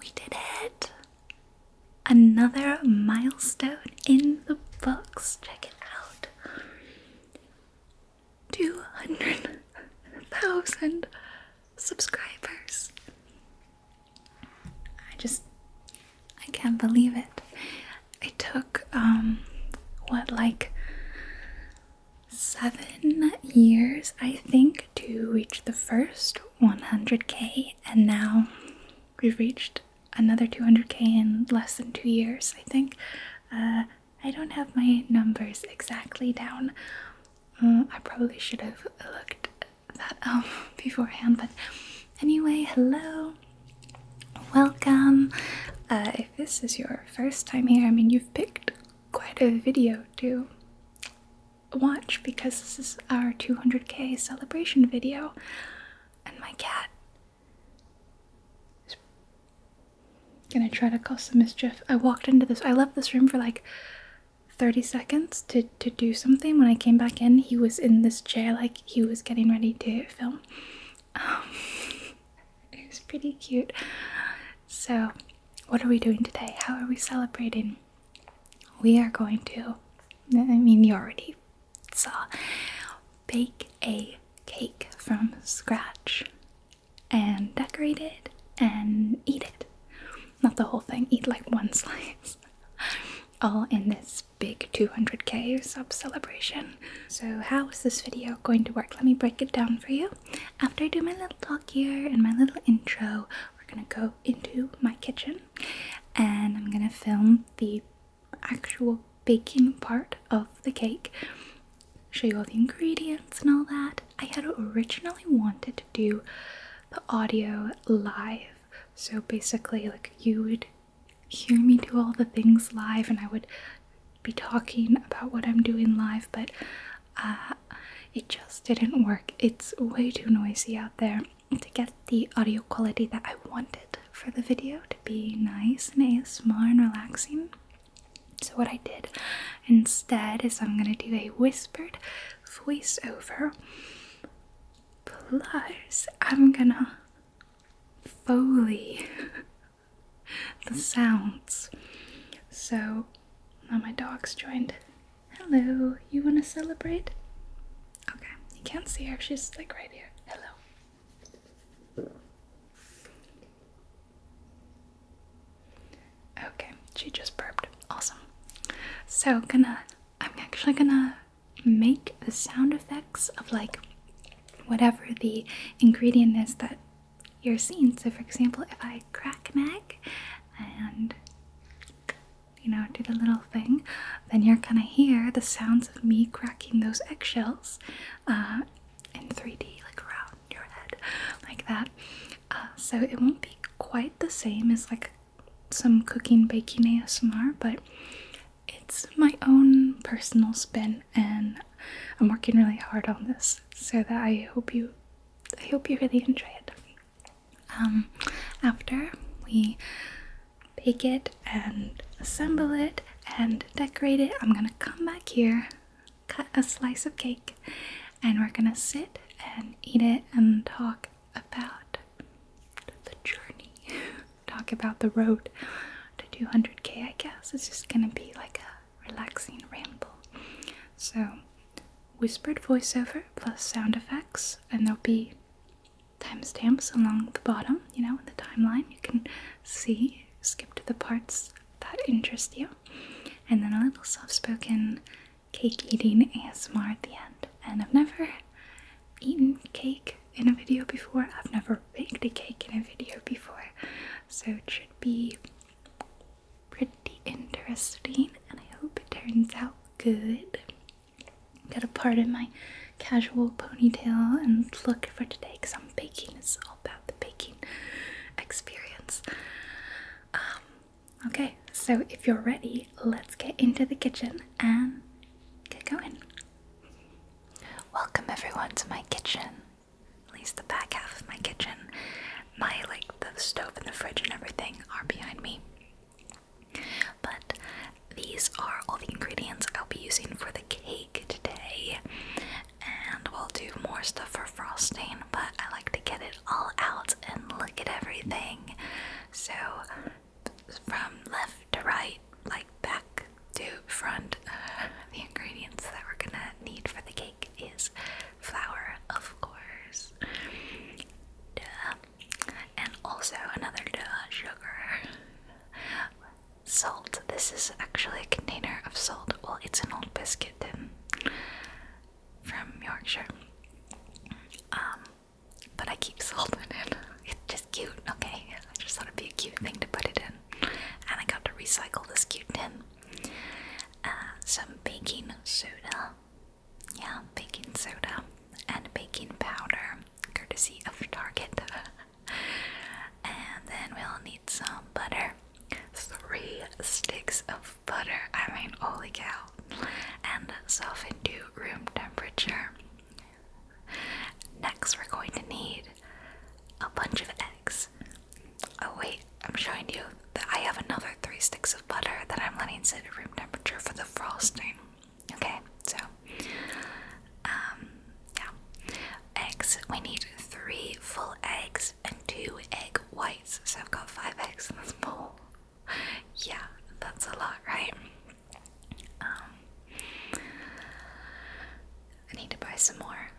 We did it! Another milestone in the books. Check it out. 200,000 subscribers. I just, I can't believe it. It took, um, what, like seven years, I think, to reach the first 100k, and now we've reached another 200k in less than two years, I think. Uh, I don't have my numbers exactly down. Mm, I probably should have looked that up beforehand, but anyway, hello, welcome. Uh, if this is your first time here, I mean, you've picked quite a video too watch because this is our 200k celebration video, and my cat is gonna try to cause some mischief. I walked into this, I left this room for like 30 seconds to, to do something. When I came back in, he was in this chair, like he was getting ready to film. Um, it was pretty cute. So, what are we doing today? How are we celebrating? we are going to, I mean, you already saw, bake a cake from scratch and decorate it and eat it. Not the whole thing, eat like one slice. All in this big 200k sub celebration. So, how is this video going to work? Let me break it down for you. After I do my little talk here and my little intro, we're gonna go into my kitchen and I'm gonna film the actual baking part of the cake, show you all the ingredients and all that. I had originally wanted to do the audio live, so basically, like you would hear me do all the things live and I would be talking about what I'm doing live, but uh, it just didn't work. It's way too noisy out there to get the audio quality that I wanted for the video to be nice and small, and relaxing. So, what I did instead is I'm gonna do a whispered voiceover, plus, I'm gonna Foley the sounds. So now my dog's joined Hello, you want to celebrate? Okay, you can't see her, she's like right here. Hello. Okay, she just burped. Awesome. So, gonna, I'm actually gonna make the sound effects of like whatever the ingredient is that you're seeing. So, for example, if I crack an egg and you know, do the little thing, then you're gonna hear the sounds of me cracking those eggshells uh, in 3D, like around your head, like that. Uh, so it won't be quite the same as like some cooking baking ASMR, but it's my own personal spin, and I'm working really hard on this so that I hope you, I hope you really enjoy it. Um, after we bake it and assemble it and decorate it, I'm gonna come back here, cut a slice of cake, and we're gonna sit and eat it and talk about the journey. talk about the road to 200k, I guess. It's just gonna be like a relaxing ramble. So, whispered voiceover plus sound effects, and there'll be timestamps along the bottom, you know, in the timeline. You can see, skip to the parts that interest you, and then a little soft spoken cake eating ASMR at the end. And I've never eaten cake in a video before, I've never baked a cake in a video before, so it should be pretty interesting and I hope it turns out good. got a part of my casual ponytail and look for today because I'm baking. It's all about the baking experience. Um, okay, so if you're ready, let's get into the kitchen and get going. Welcome everyone to my kitchen. At least the back half of my kitchen. My like the stove and the fridge and everything are behind me. But these are all the ingredients I'll be using for the cake today. And we'll do more stuff for frosting, but I like to get it all out and look at everything. So, from left to right, like back to front, the ingredients that we're gonna need for the cake is flour, of course. And also another duh, sugar. Salt. This is actually a container of salt. Well, it's an old biscuit tin from Yorkshire. Um, but I keep salt in it. It's just cute. Okay, I just thought it'd be a cute thing to put it in. And I got to recycle this cute tin. Uh, some baking soda. Yeah, baking soda and baking powder, courtesy of Target. and then we'll need some butter. Three sticks of butter, I mean, holy cow. And soften to room temperature. Next, we're going to need a bunch of eggs. Oh, wait, I'm showing you I have another three sticks of butter that I'm letting sit at room temperature for the frosting. Okay, so um yeah. Eggs. We need three full eggs and two egg whites. So I've got five eggs in this bowl. yeah, that's a lot, right? Um I need to buy some more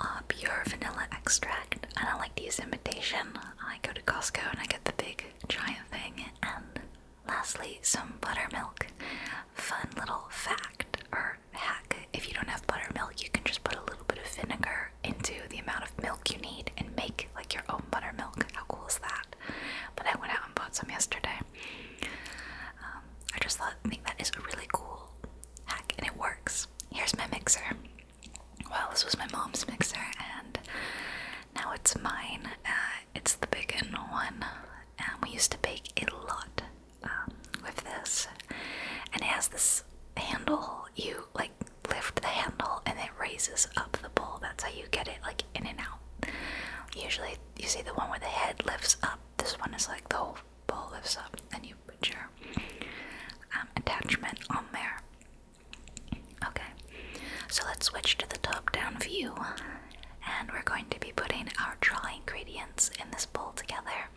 uh, pure vanilla extract. I don't like to use imitation. I go to Costco and I get the big giant thing. And lastly, some buttermilk. Fun little fact or hack if you don't have buttermilk, you can just put a little bit of vinegar into the amount of milk you need and make like your own buttermilk. How cool is that? But I went out and bought some yesterday. Um, I just thought, think that is a really cool hack and it works. Here's my mixer. Well, this was my mom's mixer, and now it's mine. Uh, it's the big one, and we used to bake a lot um, with this. And it has this handle. You like lift the handle, and it raises up the bowl. That's how you get it like in and out. Usually, you see the one where the head lifts up. This one is like the whole bowl lifts up, and you put your um, attachment on there. Okay, so let's switch to the top down view, and we're going to be putting our dry ingredients in this bowl together.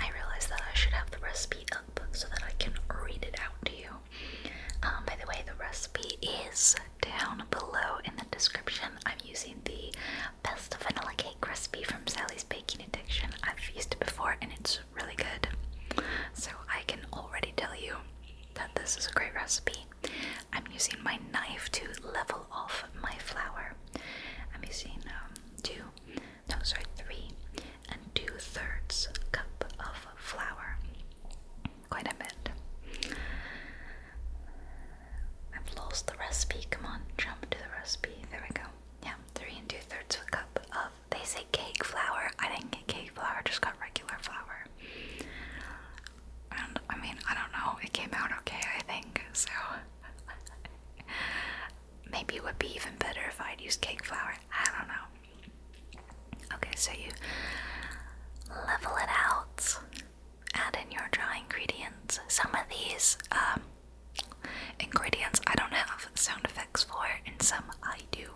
I realize that I should have the recipe up so that I can read it out to you. Um, by the way, the recipe is down below in the description. I'm using the best vanilla cake recipe from Sally's Baking Addiction. I've used it before and it's really good. So I can already tell you that this is a great recipe. I'm using my knife to level off my flour. I'm using um, two, no, sorry, three and two thirds cup of flour. Quite a bit. I've lost the recipe. Come on, jump to the recipe. There we go. Yeah, three and two thirds of a cup of they say cake flour. I didn't get cake flour, just got regular flour. And I mean, I don't know, it came out okay, I think, so. Maybe it would be even better if I'd used cake flour. I don't know. Okay, so you level it out, add in your dry ingredients. Some of these um, ingredients I don't have, sound effects for, and some I do.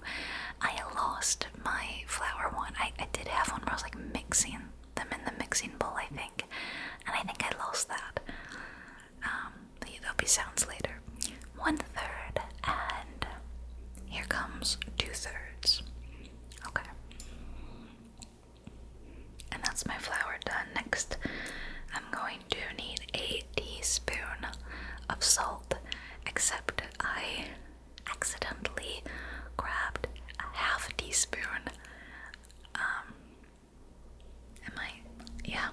I lost my flower one. I, did have one where I was like mixing them in the mixing bowl, I think, and I think I lost that. Um, there'll be sounds later. One third, and here comes two thirds. Okay. And that's my flower done. Next, I'm going to need eight teaspoon of salt, except I accidentally grabbed a half teaspoon. Um, am I? Yeah,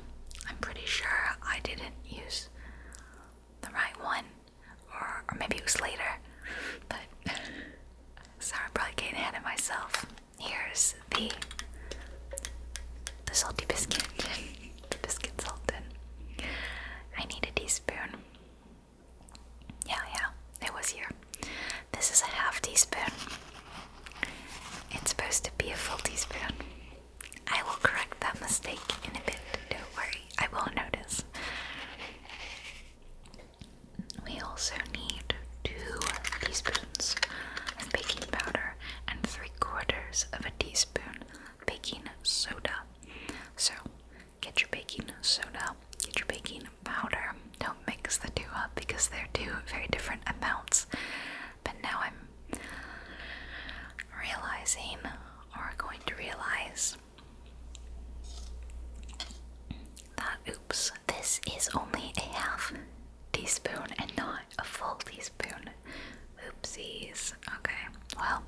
I'm pretty sure I didn't use the right one, or, maybe it was later. But sorry, I'm probably getting ahead of myself. Here's the the salty biscuit. biscuit sultan. I need a teaspoon. Yeah, yeah, it was here. This is a half teaspoon. It's supposed to be a full teaspoon. I will correct that mistake in a bit, don't worry, I will notice. We also need two teaspoons of baking powder and three quarters of a teaspoon baking soda. So get your baking soda, get your baking powder. Don't mix the two up because they're two very different amounts. But now I'm realizing, or going to realize, that oops, this is only a half teaspoon and not a full teaspoon. Oopsies. Okay, well,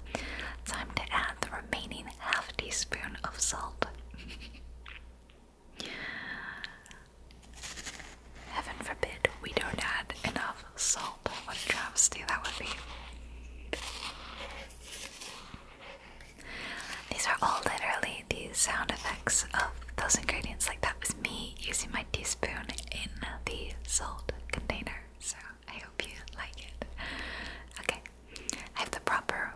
time to add the remaining half teaspoon of salt. Heaven forbid we don't add enough salt. What a travesty that would be. These are all literally the sound effects of those ingredients. Like that was me using my teaspoon in the salt container so I hope you like it. Okay, I have the proper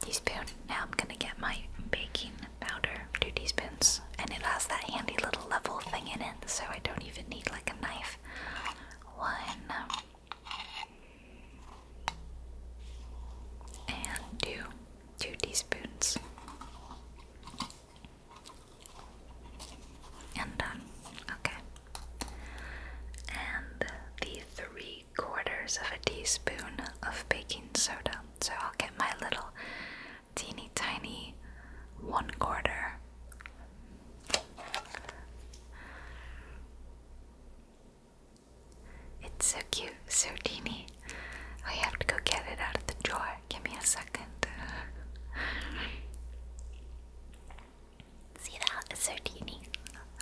teaspoon. Now I'm gonna get my baking powder, two teaspoons, and it has that handy little level thing in it, so I don't even need like a knife. One and two, two teaspoons. And done. Okay. And the three quarters of a teaspoon of baking soda. So I'll get my little teeny tiny one quarter. It's so cute, so teeny. I have to go get it out of the jar. Give me a second. See that? It's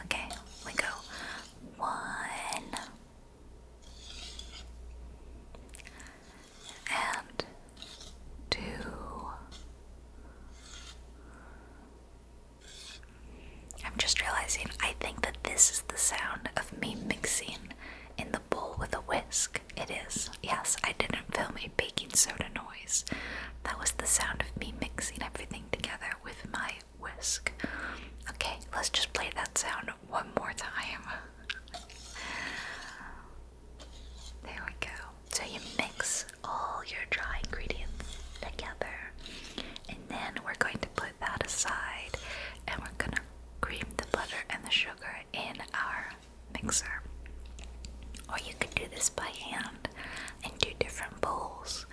Okay, we go. One. And two. I'm just realizing I think that this is the sound of me mixing in the bowl with a whisk. It is. Yes, I didn't film a baking soda noise. That was the sound of me mixing everything together with my whisk. Okay, let's just play that sound one more time. There we go. So you mix all your dry ingredients together, and then we're going to put that aside and we're gonna cream the butter and the sugar in our mixer. Or you could do this by hand and do different bowls.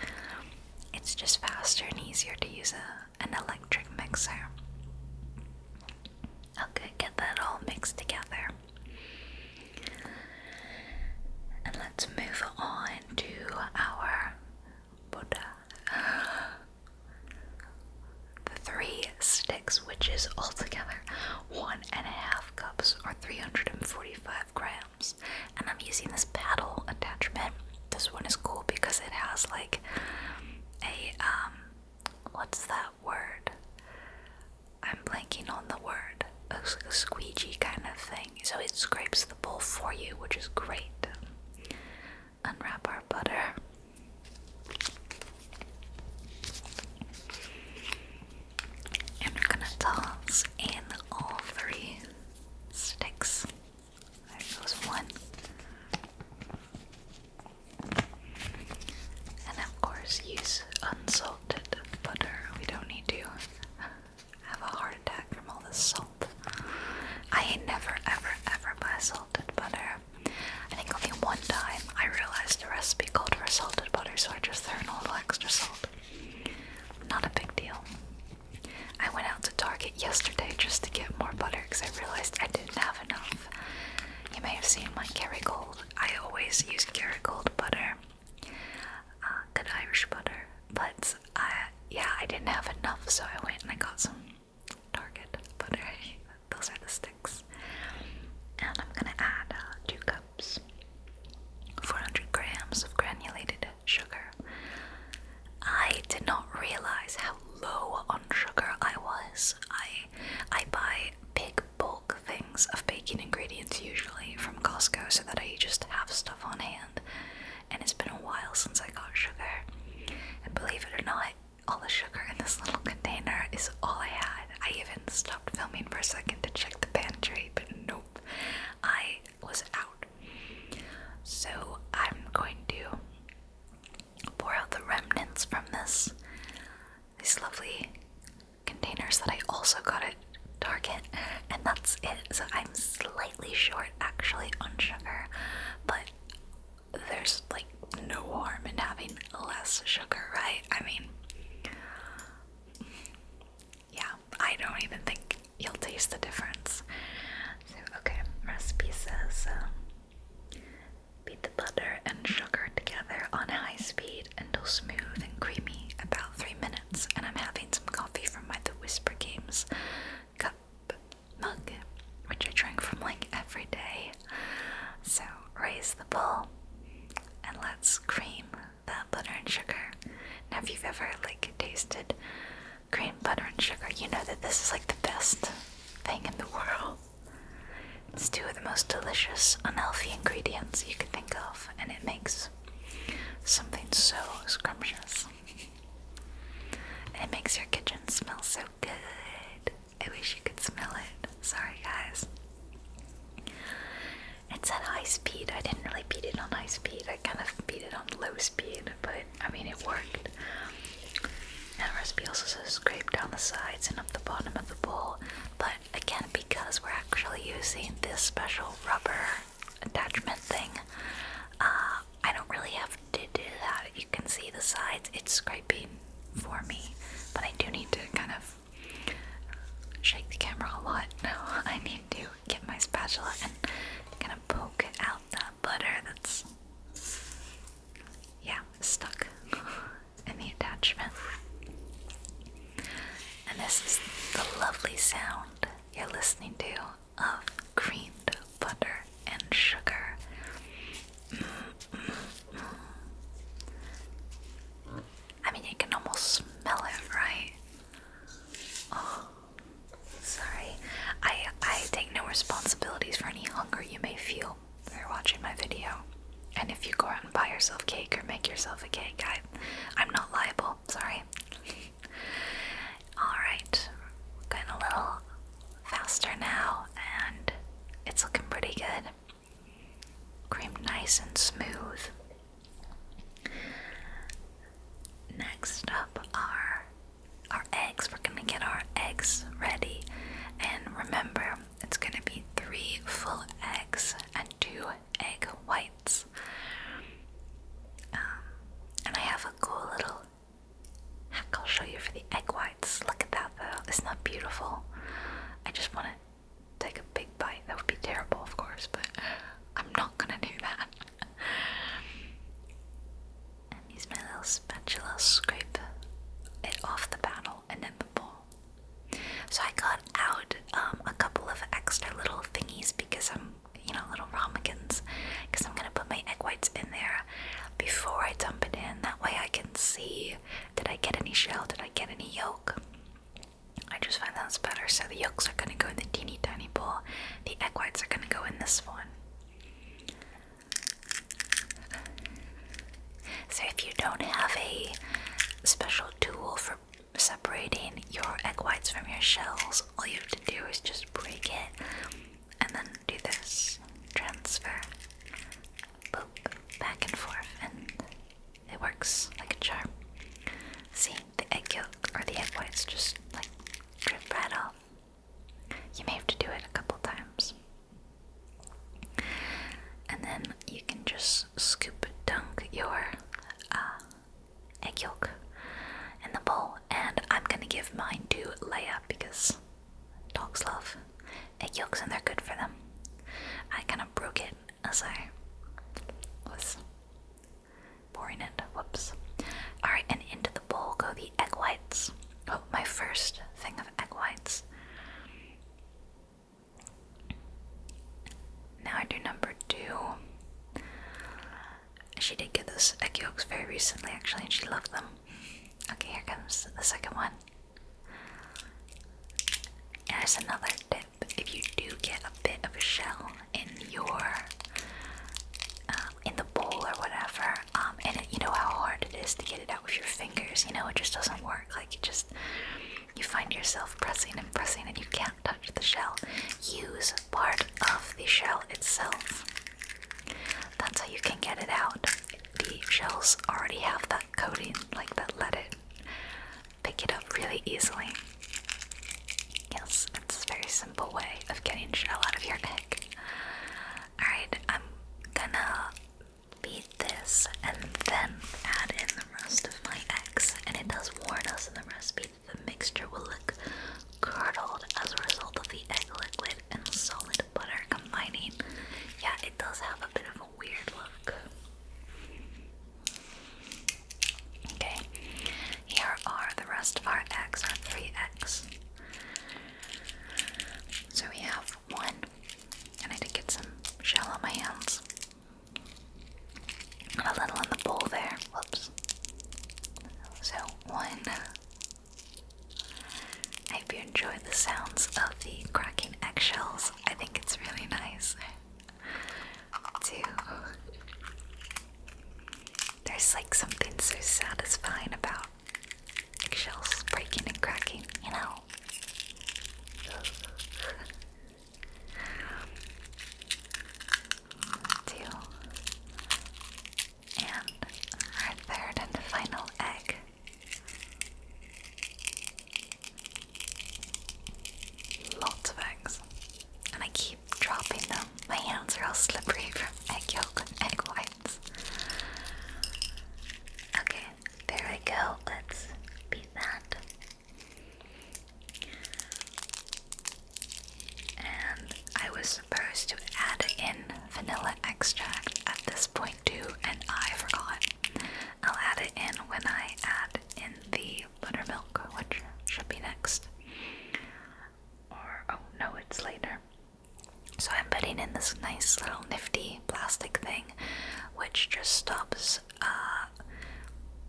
It's just faster and easier to use a, an electric mixer. Okay, get that all mixed together. And let's move on to our Buddha. The three sticks, which is altogether one and a half cups are 345 grams. And I'm using this paddle attachment. This one is cool because it has like a um what's that word? I'm blanking on the word. like a squeegee kind of thing. So it scrapes the bowl for you, which is great. Unwrap our butter. And we're gonna toss in all three sticks. There goes one. And of course, use unsalted butter. We don't need to have a heart attack from all the salt. I never, ever, ever buy salted butter. I think only one time I realized the recipe called for salted butter, so I just threw in a little extra salt. Not a big deal. I went out to Target yesterday just to get more butter because I realized I didn't have enough. You may have seen my Kerrygold. I always use Kerrygold butter, uh, good Irish butter, but uh, yeah, I didn't have enough, so I went and I got some Target butter. Those are the sticks. And I'm gonna add uh, two cups, 400 grams of granulated sugar. I did not realize how low on sugar I was. I I buy big bulk things of baking ingredients usually from Costco so that I just have stuff on hand. And it's been a while since I got sugar. And believe it or not, all the sugar in this little container is all I had. I even st filming for a second to check the pantry, but nope, I was out. So I'm going to pour out the remnants from this these lovely containers that I also got at Target, and that's it. So I'm slightly short actually on sugar, but there's like no harm in having less sugar, right? I mean, yeah, I don't even think you'll taste the difference. So, okay, recipe says um, beat the butter and sugar together on high speed until smooth and creamy, about three minutes. And I'm having some coffee from my The Whisper Games cup mug, which I drink from like every day. So, raise the bowl, and let's cream that butter and sugar. Now, if you've ever like tasted cream butter and sugar, you know that this is like the best thing in the world. It's two of the most delicious, unhealthy ingredients you can think of, and it makes something so scrumptious. And it makes your kitchen smell so good. I wish you could smell it. Sorry, guys. It's at high speed. I didn't really beat it on high speed. I kind of beat it on low speed, but I mean, it worked. And recipe also says scrape down the sides and up the bottom of the bowl. But again, because we're actually using this special rubber attachment thing, uh, I don't really have to do that. You can see the sides, it's scraping for me, but I do need to kind of shake the camera a lot. I need to get my spatula and gonna poke out that butter that's yeah stuck in the attachment. And this is the lovely sound you're listening to of creamed butter and sugar. Mm, mm, mm. I mean, you can almost smell it, right? Oh, sorry. I I take no responsibilities for any hunger you may feel for watching my video. And if you go out and buy yourself cake or make yourself a cake, I I'm not liable. Sorry. All going a little faster now, and it's looking pretty good cream nice and smooth. Next up are our eggs. We're gonna get our eggs ready, and remember, it's gonna be three full eggs and two egg whites. Um, and I have a cool little hack I'll show you for the egg whites. Look at that though, isn't that beautiful? I just want to take a big bite. That would be terrible, of course, but I'm not gonna do that. and use my little spatula, scrape it off the paddle, and then the bowl. So I got out um, a couple of extra little thingies because I'm, you know, little ramekins, because I'm gonna put my egg whites in there before I dump it in. That way I can see did I get any shell? Did I get any yolk? I just find that's better. So the yolks are going to go in the teeny tiny bowl. The egg whites are going to go in this one. So if you don't have a special tool for separating your egg whites from your shells, all you have to do is just break it and then do this transfer, poke back and forth, and it works like a charm. See, the egg yolk or the egg whites just like drip right off. You may have to do it a couple times. And then you can just scoop dunk your uh, egg yolk in the bowl. And I'm gonna give mine to Leia because dogs love egg yolks and they're good for them. I kind of broke it as I was pouring it. Whoops. Alright, and into the bowl go the egg whites. Oh, my first thing of egg whites. Now I do number two. She did get those egg yolks very recently, actually, and she loved them. Okay, here comes the second one. There's another tip if you do get a bit of a shell in your um, in the bowl or whatever, um, and you know how hard it is to get it out with your fingers, you know, it just doesn't work. Like, you just you find yourself pressing and pressing, and you can't touch the shell. Use part of the shell itself. That's how you can get it out. The shells already have that coating, like that leaded pick it up really easily. Yes, it's a very simple way of getting shell out of your egg. Alright, I'm gonna beat this and then add in the rest of my eggs. And it does warn us in the recipe that the mixture will look curdled as a result of the egg liquid and solid butter combining. Yeah, it does have a bit of weird look. Okay, here are the rest of our x, our 3x. So we have one, and I did get some shell on my hands. a little in the bowl there. Whoops. So, one. I hope you enjoyed the sounds of the cracking eggshells. I think it's really nice too. There's like something so satisfying about shells breaking and cracking, you know. And our third and final egg Lots of eggs. And I keep dropping them. My hands are all slippery from egg yolk and egg whites. Okay, there we go. Let's beat that. And I was supposed to add in vanilla extract at this point too, and I forgot. I'll add it in when I add in the buttermilk, which should be next. Or, oh no, it's later. So I'm putting in this nice little nifty plastic thing, which just stops uh,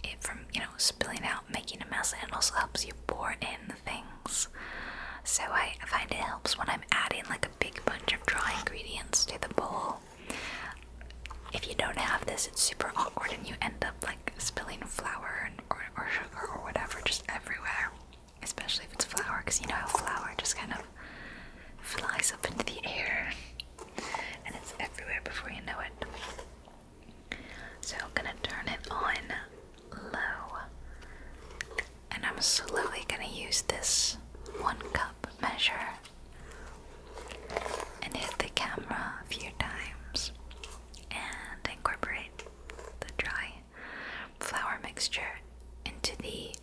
it from, you know, spilling out, making a mess, and it also helps you pour in things. So I find it helps when I'm adding like a big bunch of dry ingredients to the bowl if you don't have this, it's super awkward and you end up like spilling flour and, or sugar or whatever just everywhere. Especially if it's flour, because you know how flour just kind of flies up into the air and it's everywhere before you know it. So I'm gonna turn it on low. And I'm slowly gonna use this one cup measure and hit the camera a few times and incorporate the dry flour mixture into the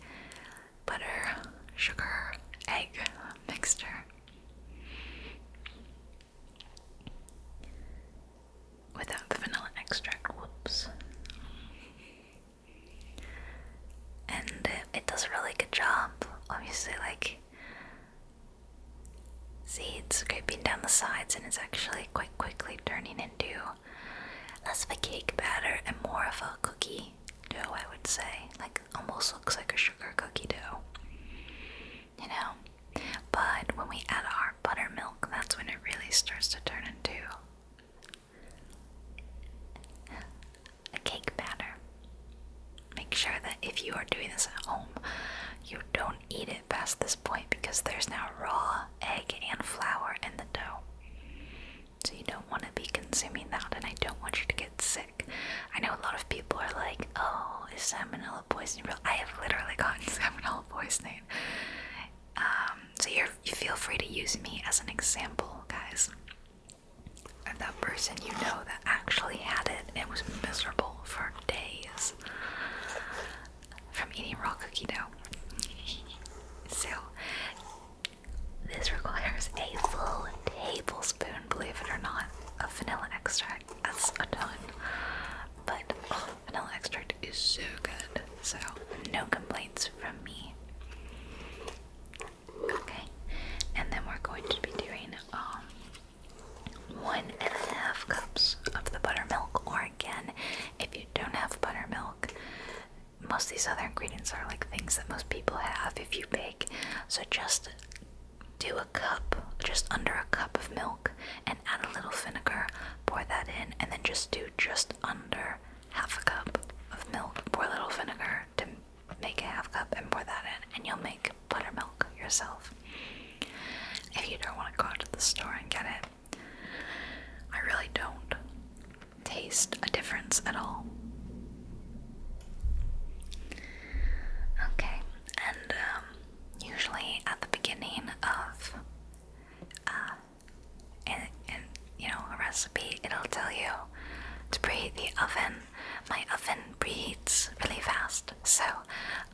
butter, sugar, egg mixture. Without the vanilla extract, whoops and it, does a really good job. Obviously, like, seeds scraping down the sides, and it's actually quite quickly turning into less of a cake batter and more of a cookie dough, I would say. Like, almost looks like a sugar cookie dough, you know. But when we add our buttermilk, that's when it really starts to turn into a cake batter. Make sure that if you are doing this at home, you don't eat it past this point because there's now raw egg and flour in the dough. So you don't want to be consuming that, and I don't want you to get sick. I know a lot of people are like, "Oh, is salmonella poisoning real?" I have literally gotten salmonella poisoning. Um, so you you feel free to use me as an example, guys and that person you know that actually had it and was miserable for days from eating raw cookie dough. so, this requires a full tablespoon, believe it or not, of vanilla extract. That's a ton. But oh, vanilla extract is so good. So, no complaints from me. Okay, and then we're going to be doing um, one and a half cups of the buttermilk. Or again, if you don't have buttermilk, most of these other ingredients are like things that most people have if you bake. So just do a cup, just under a cup of milk, and add a little vinegar. Pour that in, and then just do just under half a cup of milk. Pour a little vinegar, to make a half cup and pour that in, and you'll make buttermilk yourself. If you don't want to go out to the store and get it, I really don't taste a difference at all. Okay, and um, usually at the beginning of uh, and, and you know a recipe, it'll tell you to preheat the oven my oven preheats really fast, so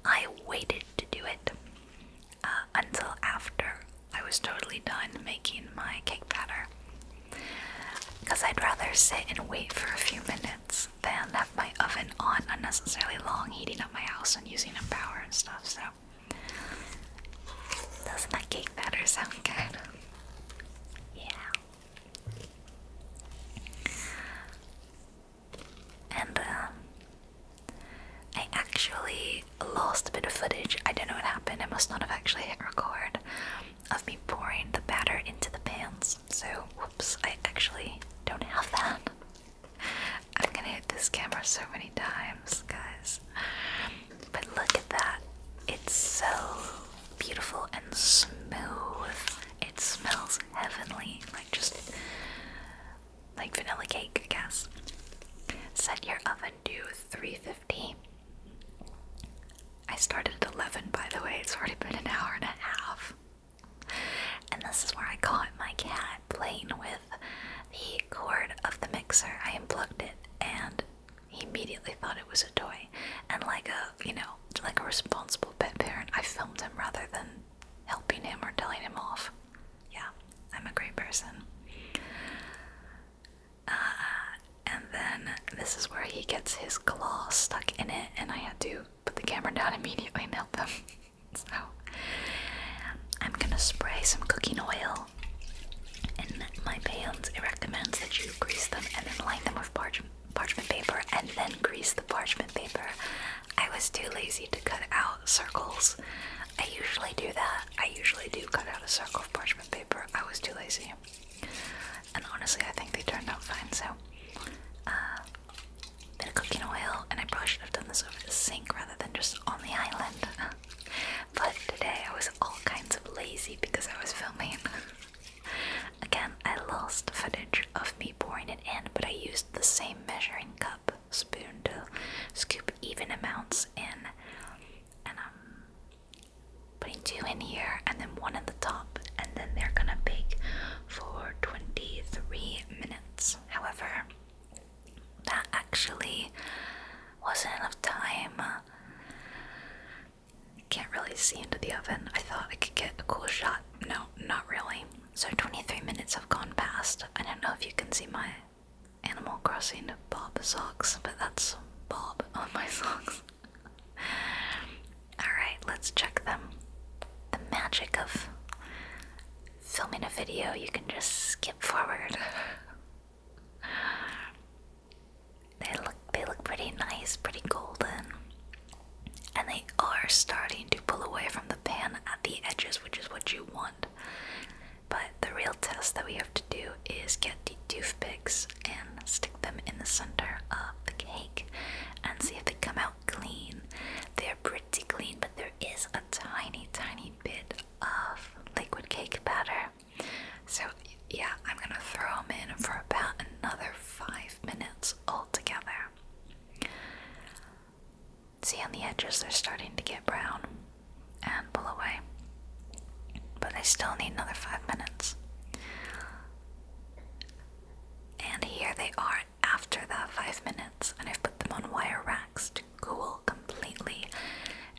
I waited to do it uh, until after I was totally done making my cake batter. Because I'd rather sit and wait for a few minutes than have my oven on unnecessarily long, heating up my house and using up power and stuff, so. Doesn't that cake batter sound good? Yeah. And um, I actually lost a bit of footage. I don't know what happened. I must not have actually hit record of me pouring the batter into the pans. So, whoops, I actually don't have that. I'm gonna hit this camera so many times, guys. But look at that. It's so beautiful and smooth. It smells heavenly, like just like vanilla cake, I guess. Set your oven to 350. I started at 11, by the way. It's already been an hour and a half. And this is where I caught my cat playing with the cord of the mixer. I unplugged it and he immediately thought it was a toy. And like a, you know, like a responsible pet parent, I filmed him rather than helping him or telling him off. Yeah, I'm a great person. Uh, and then this is where he gets his claw stuck in it, and I had to put the camera down immediately and help him. so, I'm gonna spray some cooking oil in my pans, it recommends that you grease them and then line them with parchment paper and then grease the parchment paper. I was too lazy to cut out circles. I usually do that. I usually do cut out a circle of parchment paper. I was too lazy. And honestly, I think they turned out fine, so. Uh, bit of cooking oil, and I probably should have done this over the sink rather than just on the island. but today I was all kinds of lazy because I was filming. Again, I lost footage of me pouring it in, but I used the same measuring cup spoon to scoop even amounts in. And I'm putting two in here and then one at the top, and then they're gonna bake for 23 minutes. However, that actually wasn't enough time can't really see into the oven. I thought I could get a cool shot. No, not really. So 23 minutes have gone past. I don't know if you can see my Animal Crossing Bob socks, but that's Bob on my socks. Alright, let's check them. The magic of filming a video, you can just skip forward. They look they look pretty nice, pretty golden. And they are starting to pull away from the pan at the edges, which is what you want. But the real test that we have to do is get the toothpicks and stick them in the center of the cake and see if they come out clean. They're pretty clean, but there is a tiny, tiny bit of liquid cake batter so, yeah, I'm gonna throw them in for about another five minutes altogether. See, on the edges, they're starting to get brown and pull away. But they still need another five minutes. And here they are after that five minutes, and I've put them on wire racks to cool completely,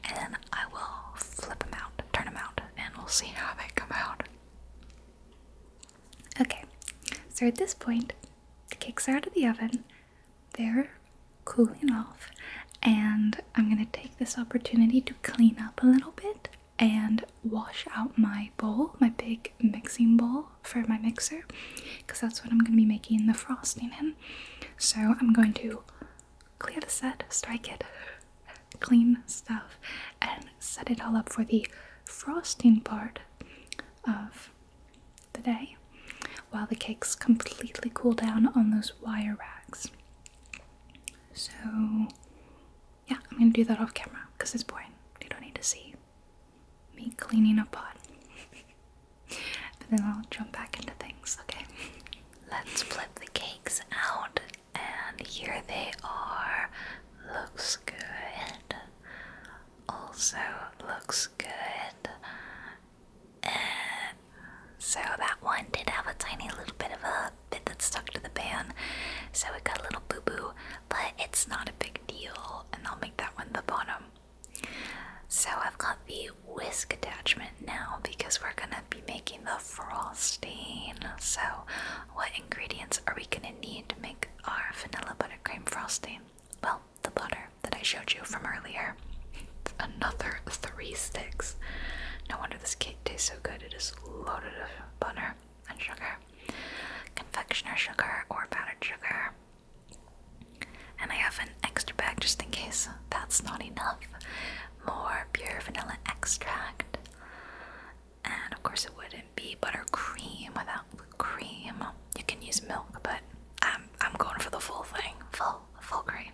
and I will flip them out turn them out, and we'll see how they come out. Okay, so at this point, the cakes are out of the oven, they're cooling off, and I'm gonna take this opportunity to clean up a little bit and wash out my bowl, my big mixing bowl for my mixer, because that's what I'm gonna be making the frosting in. So I'm going to clear the set, strike it, clean stuff, and set it all up for the frosting part of the day while the cakes completely cool down on those wire racks. So, yeah, I'm gonna do that off camera because it's boring. You don't need to see me cleaning a pot. but then I'll jump back into things, okay? Let's flip the cakes out and here they are. Looks good. Also looks good. so that one did have a tiny little bit of a bit that stuck to the pan, so it got a little boo boo, but it's not a big deal, and I'll make that one the bottom. So I've got the whisk attachment now because we're gonna be making the frosting. So, what ingredients are we going to need to make our vanilla buttercream frosting? Well, the butter that I showed you from earlier. Another three sticks. No wonder this cake tastes so good. It is loaded with butter and sugar, confectioner sugar, or powdered sugar. And I have an extra bag just in case that's not enough. More pure vanilla extract, and of course, it wouldn't be buttercream without cream. You can use milk, but I'm, I'm going for the full thing full, full cream.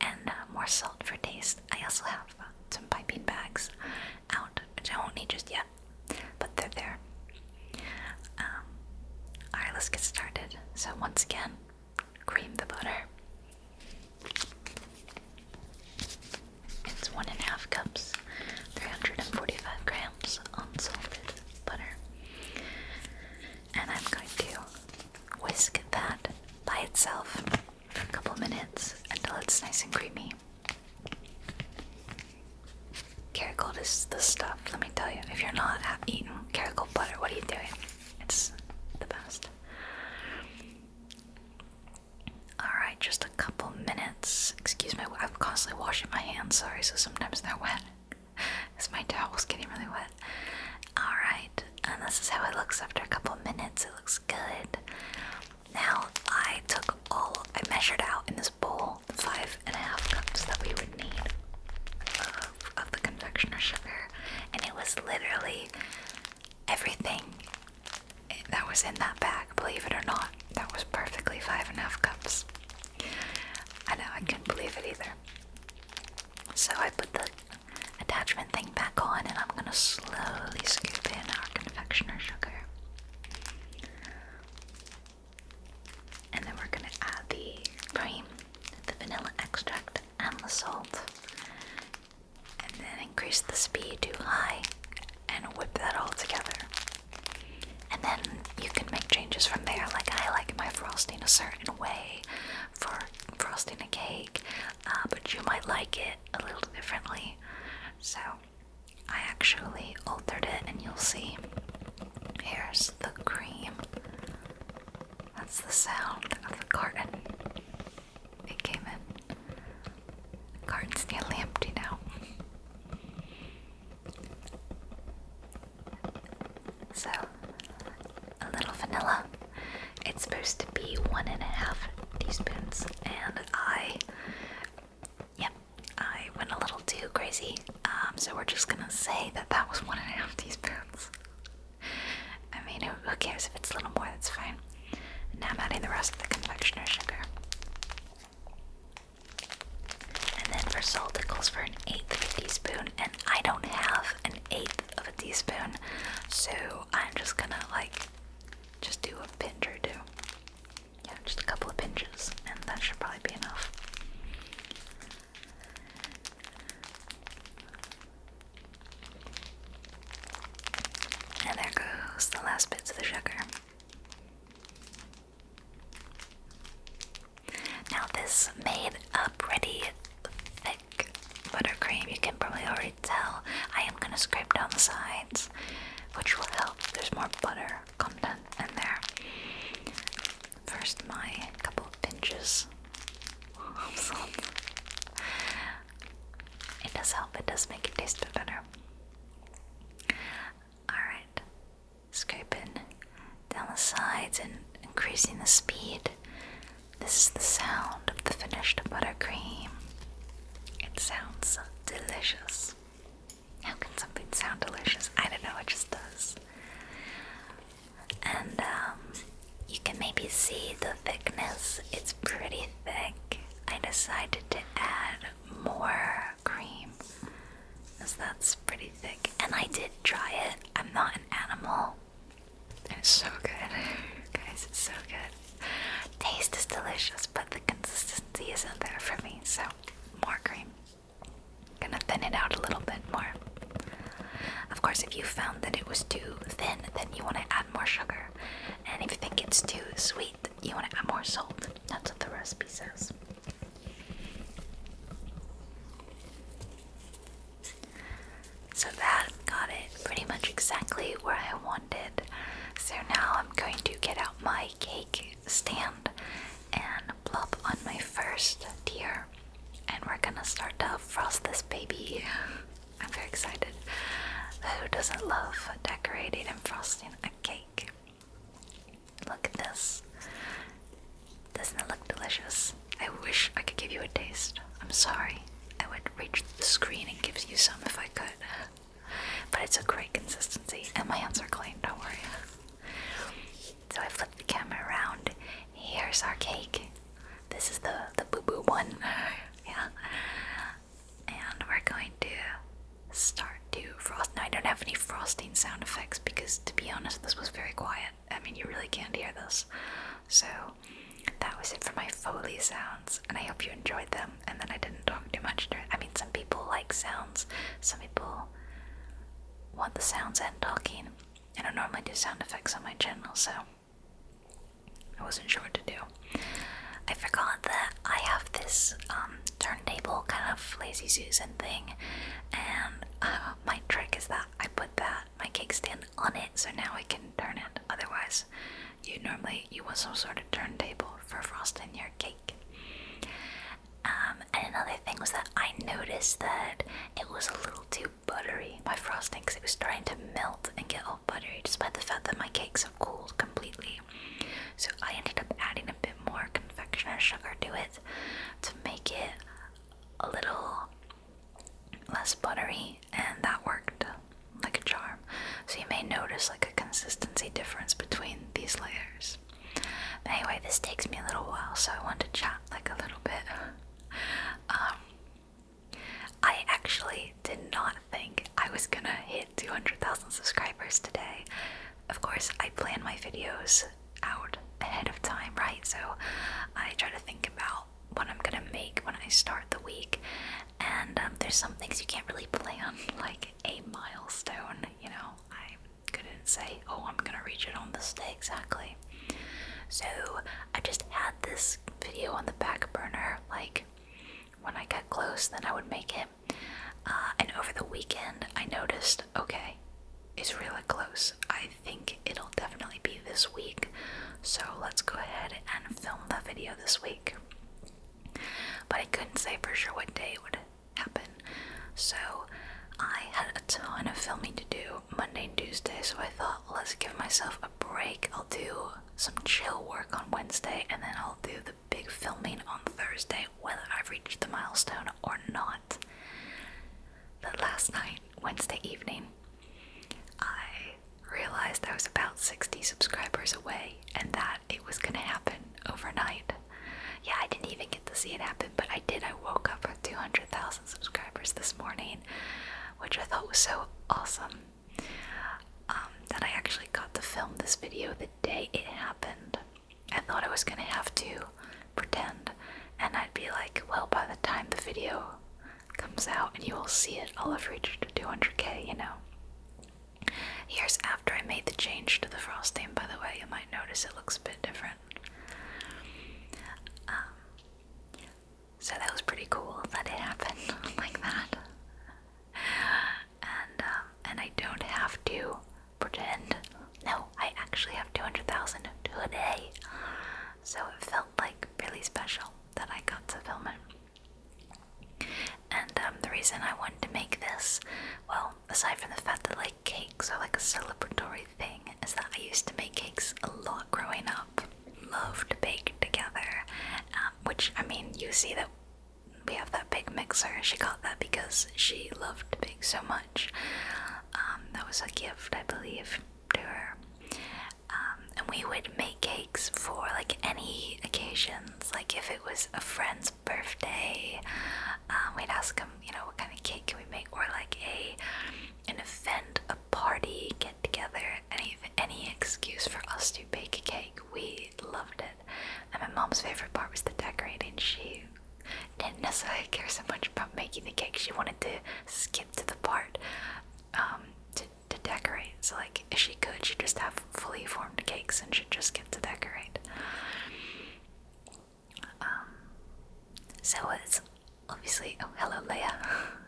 And uh, more salt for taste. I also have some piping bags out, which I won't need just yet, but they're there. Um, Alright, let's get started. So, once again, cream the butter. It's one and a half cups, 345 grams unsalted butter. And I'm going to whisk that by itself for a couple minutes until it's nice and creamy. Caragold is the stuff, let me tell you. If you're not eating caragold butter, what are you doing? It's the best. Alright, just a couple minutes. Excuse me, I'm constantly washing my hands, sorry, so sometimes they're wet. Because my towel's getting really wet. Alright, and this is how it looks after a couple minutes. It looks good. Now, I took all, I measured out in this bowl the five and a half cups that we would need of the confectioner sugar, and it was literally everything that was in that bag, believe it or not. That was perfectly five and a half cups. I know, I can not believe it either. So I put the attachment thing back on and I'm gonna slowly scoop in our confectioner sugar. And then we're gonna add the cream, the vanilla extract, and the salt and then increase the speed to high and whip that all together. And then you can make changes from there. Like I like my frosting a certain way for frosting a cake, uh, but you might like it a little differently. So I actually altered it, and you'll see. Here's the cream. That's the sound of the carton it came in. Cart's nearly empty now. So, a little vanilla. It's supposed to be one and a half teaspoons, and I, yep, I went a little too crazy. Um, so we're just gonna say that that was one and a half teaspoons. I mean, who, cares if it's a little more? That's fine. now I'm adding the rest of the confectioner sugar. And then for salt, it calls for an eighth of a teaspoon, and I don't have an eighth of a teaspoon, so I'm just gonna like just do a pinch or two. Yeah, just a couple of pinches, and that should probably be enough. And there goes the last bits of the sugar. Now, this made a pretty thick buttercream. You can probably already tell. I am going to scrape down the sides, which will help. There's more butter content in there. First, my couple of pinches It does help, it does make it taste better. Alright, scraping down the sides and increasing the speed. This is the sound of the finished buttercream. It sounds delicious. How can something sound delicious? I don't know, it just does. And um, you can maybe see the thickness, it's pretty thick. I decided to add more cream because that's pretty thick, and I did try it. I'm not an animal. It's so good, guys, it's so good. Taste is delicious, but the consistency isn't there for me, so more cream. Gonna thin it out a little bit more. Of course, if you found that it was too thin, then you want to add more sugar. And if you think it's too sweet, you want to add more salt. That's what the recipe says. So that got it pretty much exactly where I wanted. So now I'm going to get out my cake stand and blob on my first tier. And we're gonna start to frost this baby. I'm very excited. Who doesn't love decorating and frosting a cake? Look at this. Doesn't it look delicious? I wish I could give you a taste. I'm sorry. I would reach the screen and give you some if I could. But it's a great consistency, and my hands are clean, don't worry. So I flipped the camera around. Here's our cake. This is the the boo boo one. yeah and we're going to start to frost. Now, I don't have any frosting sound effects because, to be honest, this was very quiet. I mean, you really can't hear this. So, that was it for my Foley sounds, and I hope you enjoyed them. And then I didn't talk too much during. I mean, some people like sounds, some people want the sounds and talking. I don't normally do sound effects on my channel, so I wasn't sure what to do. I forgot that I have this um, turntable kind of lazy Susan thing, and uh, my trick is that I put that my cake stand on it, so now I can turn it. Otherwise, you normally you want some sort of turntable for frosting your cake. Um, and another thing was that I noticed that it was a little too buttery, my frosting, because it was starting to melt and get all buttery despite the fact that my cakes have cooled completely. So I ended up adding a bit more confectioner sugar to it to make it a little less buttery and that worked like a charm. So you may notice like a consistency difference between these layers. anyway, this takes me a little while so I want to chat like a little bit. Um, I actually did not think I was gonna hit 200,000 subscribers today. Of course, I plan my videos out ahead of time, right? So I try to think about what I'm gonna make when I start the week. And um, there's some things you can't really plan, like a milestone, you know? I couldn't say, oh, I'm gonna reach it on this day exactly. So I just had this video on the back burner, like when I got close, then I would make it. Uh, and over the weekend, I noticed okay, it's really close. I think it'll definitely be this week. So let's go ahead and film the video this week. But I couldn't say for sure what day would happen. So I had a ton of filming to do Monday Tuesday. So I thought, let's give myself a break. I'll do some chill work on Wednesday, and then I'll do the big filming on Thursday, whether I've reached the milestone or not. But last night, Wednesday evening, I realized I was about 60 subscribers away and that it was gonna happen overnight. Yeah, I didn't even get to see it happen, but I did. I woke up with 200,000 subscribers this morning, which I thought was so awesome. Um, that I actually got to film this video the day it happened. I thought I was gonna have to pretend, and I'd be like, well, by the time the video comes out and you will see it, I'll have reached 200k, you know. Here's after I made the change to the frosting, by the way, you might notice it looks a bit different. Um, so that was pretty cool that it happened like that. And um, and I don't have to pretend. No, I actually have 200,000 today. So it felt like really special that I got to film it. And um, the reason I wanted to make this, well, aside from the fact that like cakes are like a celebratory thing, is that I used to make cakes a lot growing up loved to together, um, which I mean, you see that we have that big mixer. She got that because she loved to bake so much. Um, that was a gift, I believe, to her. Um, and we would make cakes for like any occasions, like if it was a friend's birthday, we'd ask them, you know, what kind of cake can we make, or like a an event, a party get together, any any excuse for us to bake a cake. We loved it. And my mom's favorite part was the decorating. She didn't necessarily care so much about making the cake. She wanted to skip to the part um, to, decorate. So like if she could, she'd just have fully formed cakes and she'd just get to decorate. Um, so it's obviously oh hello Leia.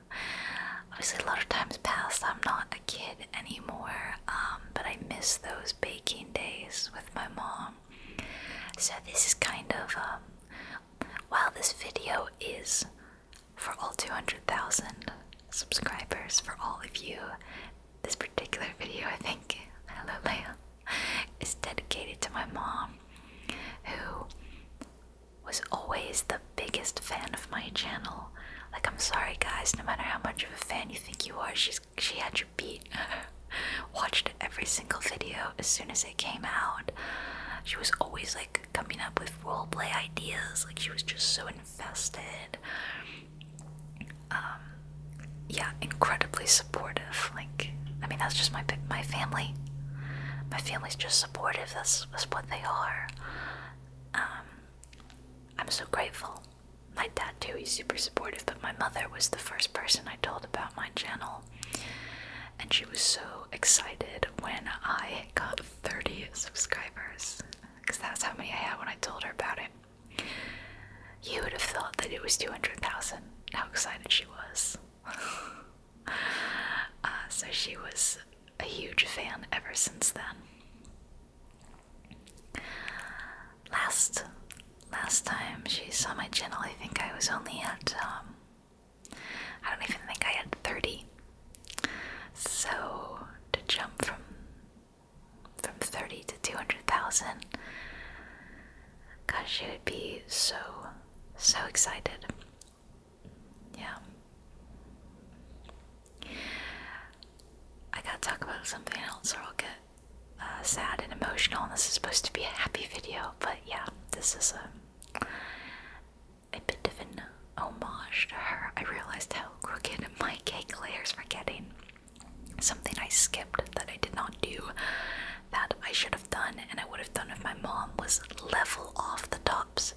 obviously a lot of times past i'm not a kid anymore um, but i miss those baking days with my mom so this is kind of um, while this video is for all 200000 subscribers for all of you this particular video i think hello leia is dedicated to my mom who was always the biggest fan of my channel. Like, I'm sorry, guys, no matter how much of a fan you think you are, she's, she had your beat. Watched every single video as soon as it came out. She was always like coming up with role play ideas, like, she was just so invested. Um, yeah, incredibly supportive. Like, I mean, that's just my my family. My family's just supportive. That's, that's what they are. Um, I'm so grateful. My dad, too, he's super supportive, but my mother was the first person I told about my channel. And she was so excited when I got 30 subscribers, because that's how many I had when I told her about it. You would have thought that it was 200,000, how excited she was. Uh, so she was a huge fan ever since then. Last last time she saw my channel, I think I was only at um, I don't even think I had 30. So to jump from from 30 to 200,000 God, she would be so so excited. Yeah. I gotta talk about something else or I'll get uh, sad and emotional. this is supposed to be a happy video, but yeah, this is a bit of an homage to her. I realized how crooked my cake layers were getting. Something I skipped that I did not do that I should have done and I would have done if my mom was level off the tops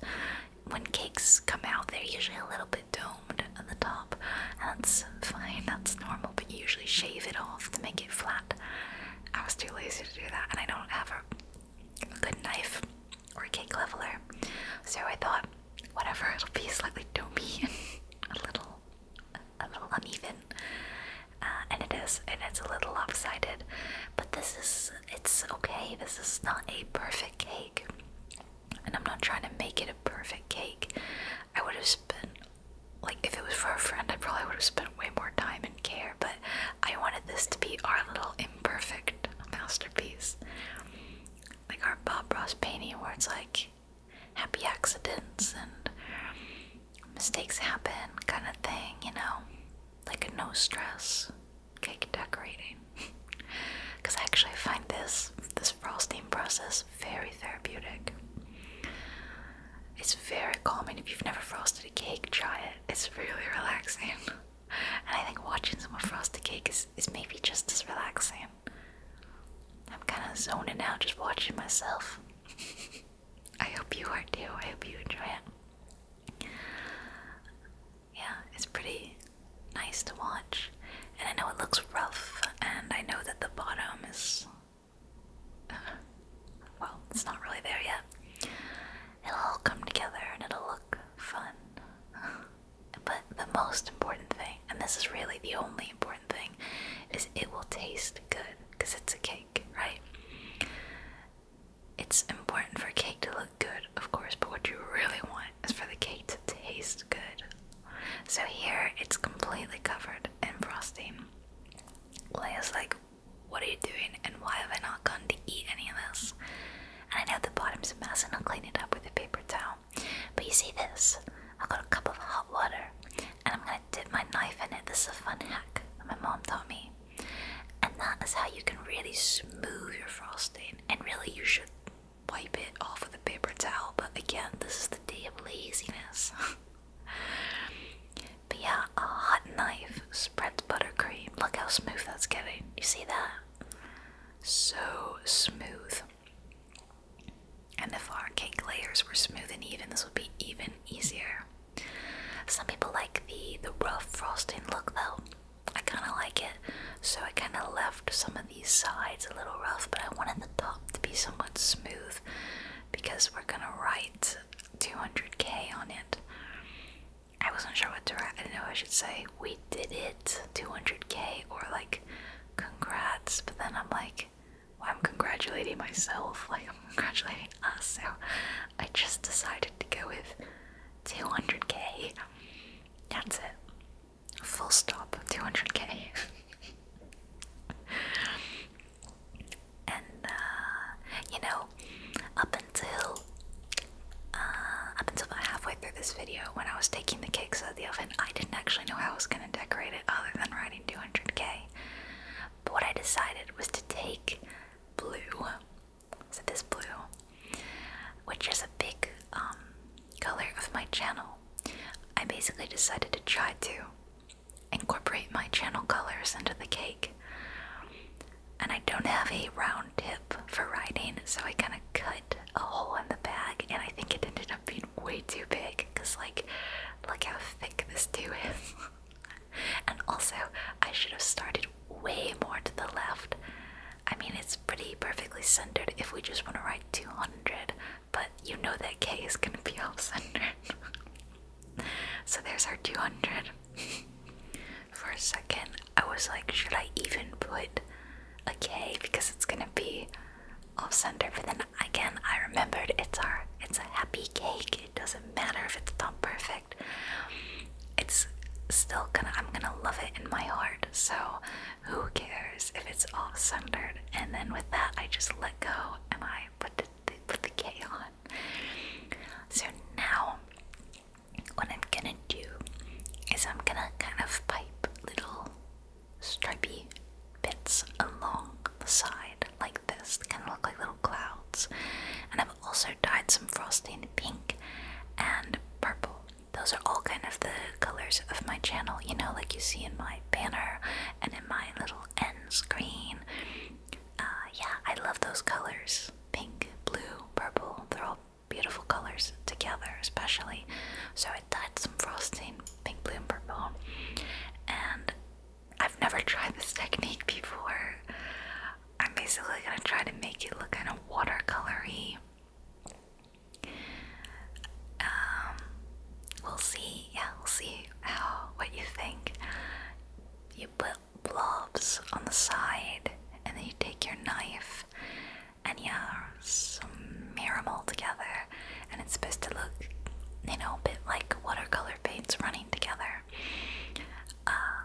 when cakes come out, they're usually a little bit domed at the top. And that's fine, that's normal, but you usually shave it off to make it flat. I was too lazy to do that, and I don't have a, good knife or cake leveler. So I thought, whatever, it'll be slightly domed, a little, a little uneven. Uh, and it is, and it's a little off-sided. But this is, it's okay. This is not a perfect cake. And I'm not trying to make it a perfect cake. I would have spent, like, if it was for a friend, I probably would have spent way more time and care, but I wanted this to be our little imperfect masterpiece. Like our Bob Ross painting, where it's like happy accidents and mistakes happen kind of thing, you know? Like a no stress cake decorating because I actually find this this frosting process very therapeutic. It's very calming. If you've never frosted a cake, try it. It's really relaxing. And I think watching someone frost a cake is, is maybe just as relaxing. I'm kind of zoning out just watching myself. I hope you are too. I hope you enjoy it yeah, it's pretty nice to watch. And I know it looks rough, and I know that the bottom is. well, it's not really there yet. It'll all come together and it'll look fun. But the most important thing, and this is really the only important thing, is it will taste good because it's a cake, right? It's important for cake to look good, of course, but what you really want is for the cake to taste good. So here it's completely covered in frosting. Leia's like, What are you doing and why have I not gone to eat any of this? And I know the bottom's a mess and I'll clean it up with a paper towel. But you see this? I've got a cup of hot water and I'm gonna dip my knife in it. This is a fun hack that my mom taught me. And that is how you can really smooth your frosting. And really, you should wipe it off with a paper towel, but again, this is the day of laziness. but yeah, a hot knife spreads buttercream. Look how smooth that's getting. You see that? So smooth. And if our cake layers were smooth and even, this would be even easier. Some people like the the rough frosting look though. I kind of like it. So I kind of left some of these sides a little rough, but I wanted the top to be somewhat smooth because we're gonna write 200k on it. I wasn't sure what to write. I didn't know I should say we did it 200k or like congrats, but then I'm like, I'm congratulating myself, like I'm congratulating us. So I just decided to go with 200k. That's it. Full stop. 200k. and uh, you know, up until uh, up until about halfway through this video, when I was taking the cakes out of the oven, I didn't actually know how I was gonna decorate it other than writing 200k. But what I decided was to take blue so this blue, which is a big um, color of my channel, I basically decided to try to incorporate my channel colors into the cake. And I don't have a round tip for writing, so I kind of cut a hole in the bag, and I think it ended up being way too big. Cause like, look how thick this do is. and also, I should have started way more to the left. I mean, it's pretty perfectly centered if we just want to write 200, but you know that K is going to be off centered. so there's our 200. For a second, I was like, should I even put a K because it's going to be off center? But then again, I remembered it's our it's a happy cake. It doesn't matter if it's not perfect it's still gonna I'm gonna love it in my heart. So who cares if it's all centered? And then with that, I just let go and I put the, the put the K on. So now, what I'm gonna do is I'm gonna kind of pipe little stripy bits along the side like this. They kind of look like little clouds. And I've also dyed some frosting pink and purple. Those are all kind of the colors of my channel, you know, like you see in my banner and in my little end screen. Uh, yeah, I love those colors pink, blue, purple. They're all beautiful colors together, especially. So I dyed some frosting pink, blue, and purple. And I've never tried this technique before. I'm basically gonna try to make it look kind of watercolory. Um, we'll see. Yeah, we'll see how what you think. You put blobs on the side, and then you take your knife, and yeah, smear them all together, and it's supposed to look, you know, a bit like watercolor paints running together. Uh,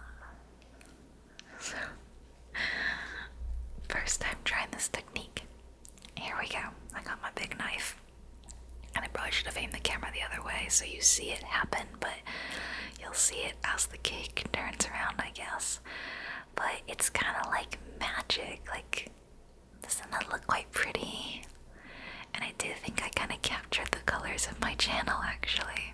first time trying this technique. Here we go. I got my big knife. And I probably should have aimed the camera the other way so you see it happen, but you'll see it as the cake turns around, I guess. But it's kind of like magic. Like, doesn't that look quite pretty? And I do think I kind of captured the colors of my channel actually.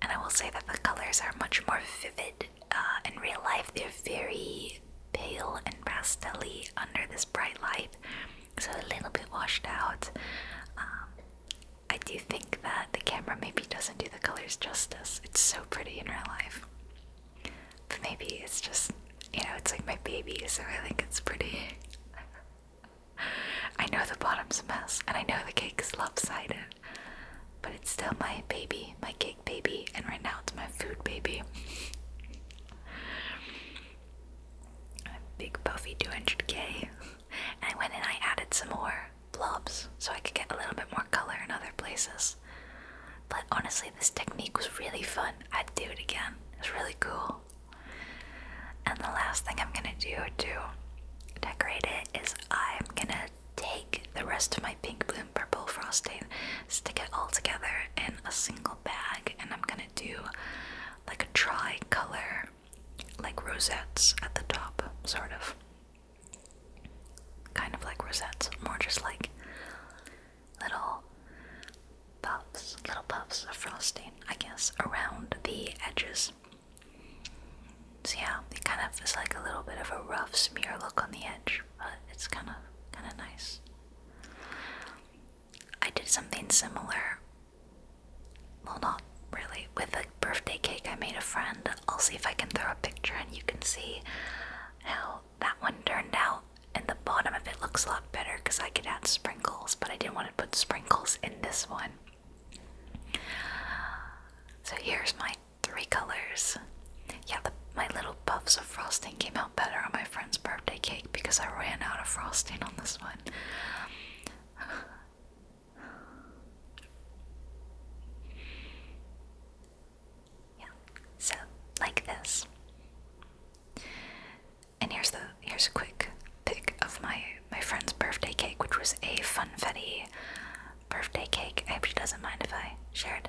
And I will say that the colors are much more vivid uh, in real life. They're very pale and pastelly under this bright light, so a little bit washed out. Um, I do think that the camera maybe doesn't do the colors justice. It's so pretty in real life. But maybe it's just, you know, it's like my baby, so I think it's pretty. I know the bottom's a mess, and I know the cake cake's lopsided, but it's still my baby, my cake baby, and right now it's my food baby. big puffy 200k, and I went and I added some more blobs so I could get a little bit more color in other places. But honestly, this technique was really fun. I'd do it again. It's really cool. And the last thing I'm gonna do to decorate it is I'm gonna take the rest of my pink bloom purple frosting, stick it all together in a single bag, and I'm gonna do like a tri-color, like rosettes at the top, sort of. Kind of like rosettes, more just like little puffs, little puffs of frosting, I guess, around the edges so yeah, it kind of is like a little bit of a rough smear look on the edge, but it's kind of kind of nice. I did something similar. Well, not really. With a birthday cake, I made a friend. I'll see if I can throw a picture, and you can see how that one turned out. And the bottom of it looks a lot better because I could add sprinkles, but I didn't want to put sprinkles in this one. So here's my three colors. Yeah, my little puffs of frosting came out better on my friend's birthday cake because I ran out of frosting on this one. Yeah, so like this. And here's the here's a quick pic of my my friend's birthday cake, which was a funfetti birthday cake. I hope she doesn't mind if I share it.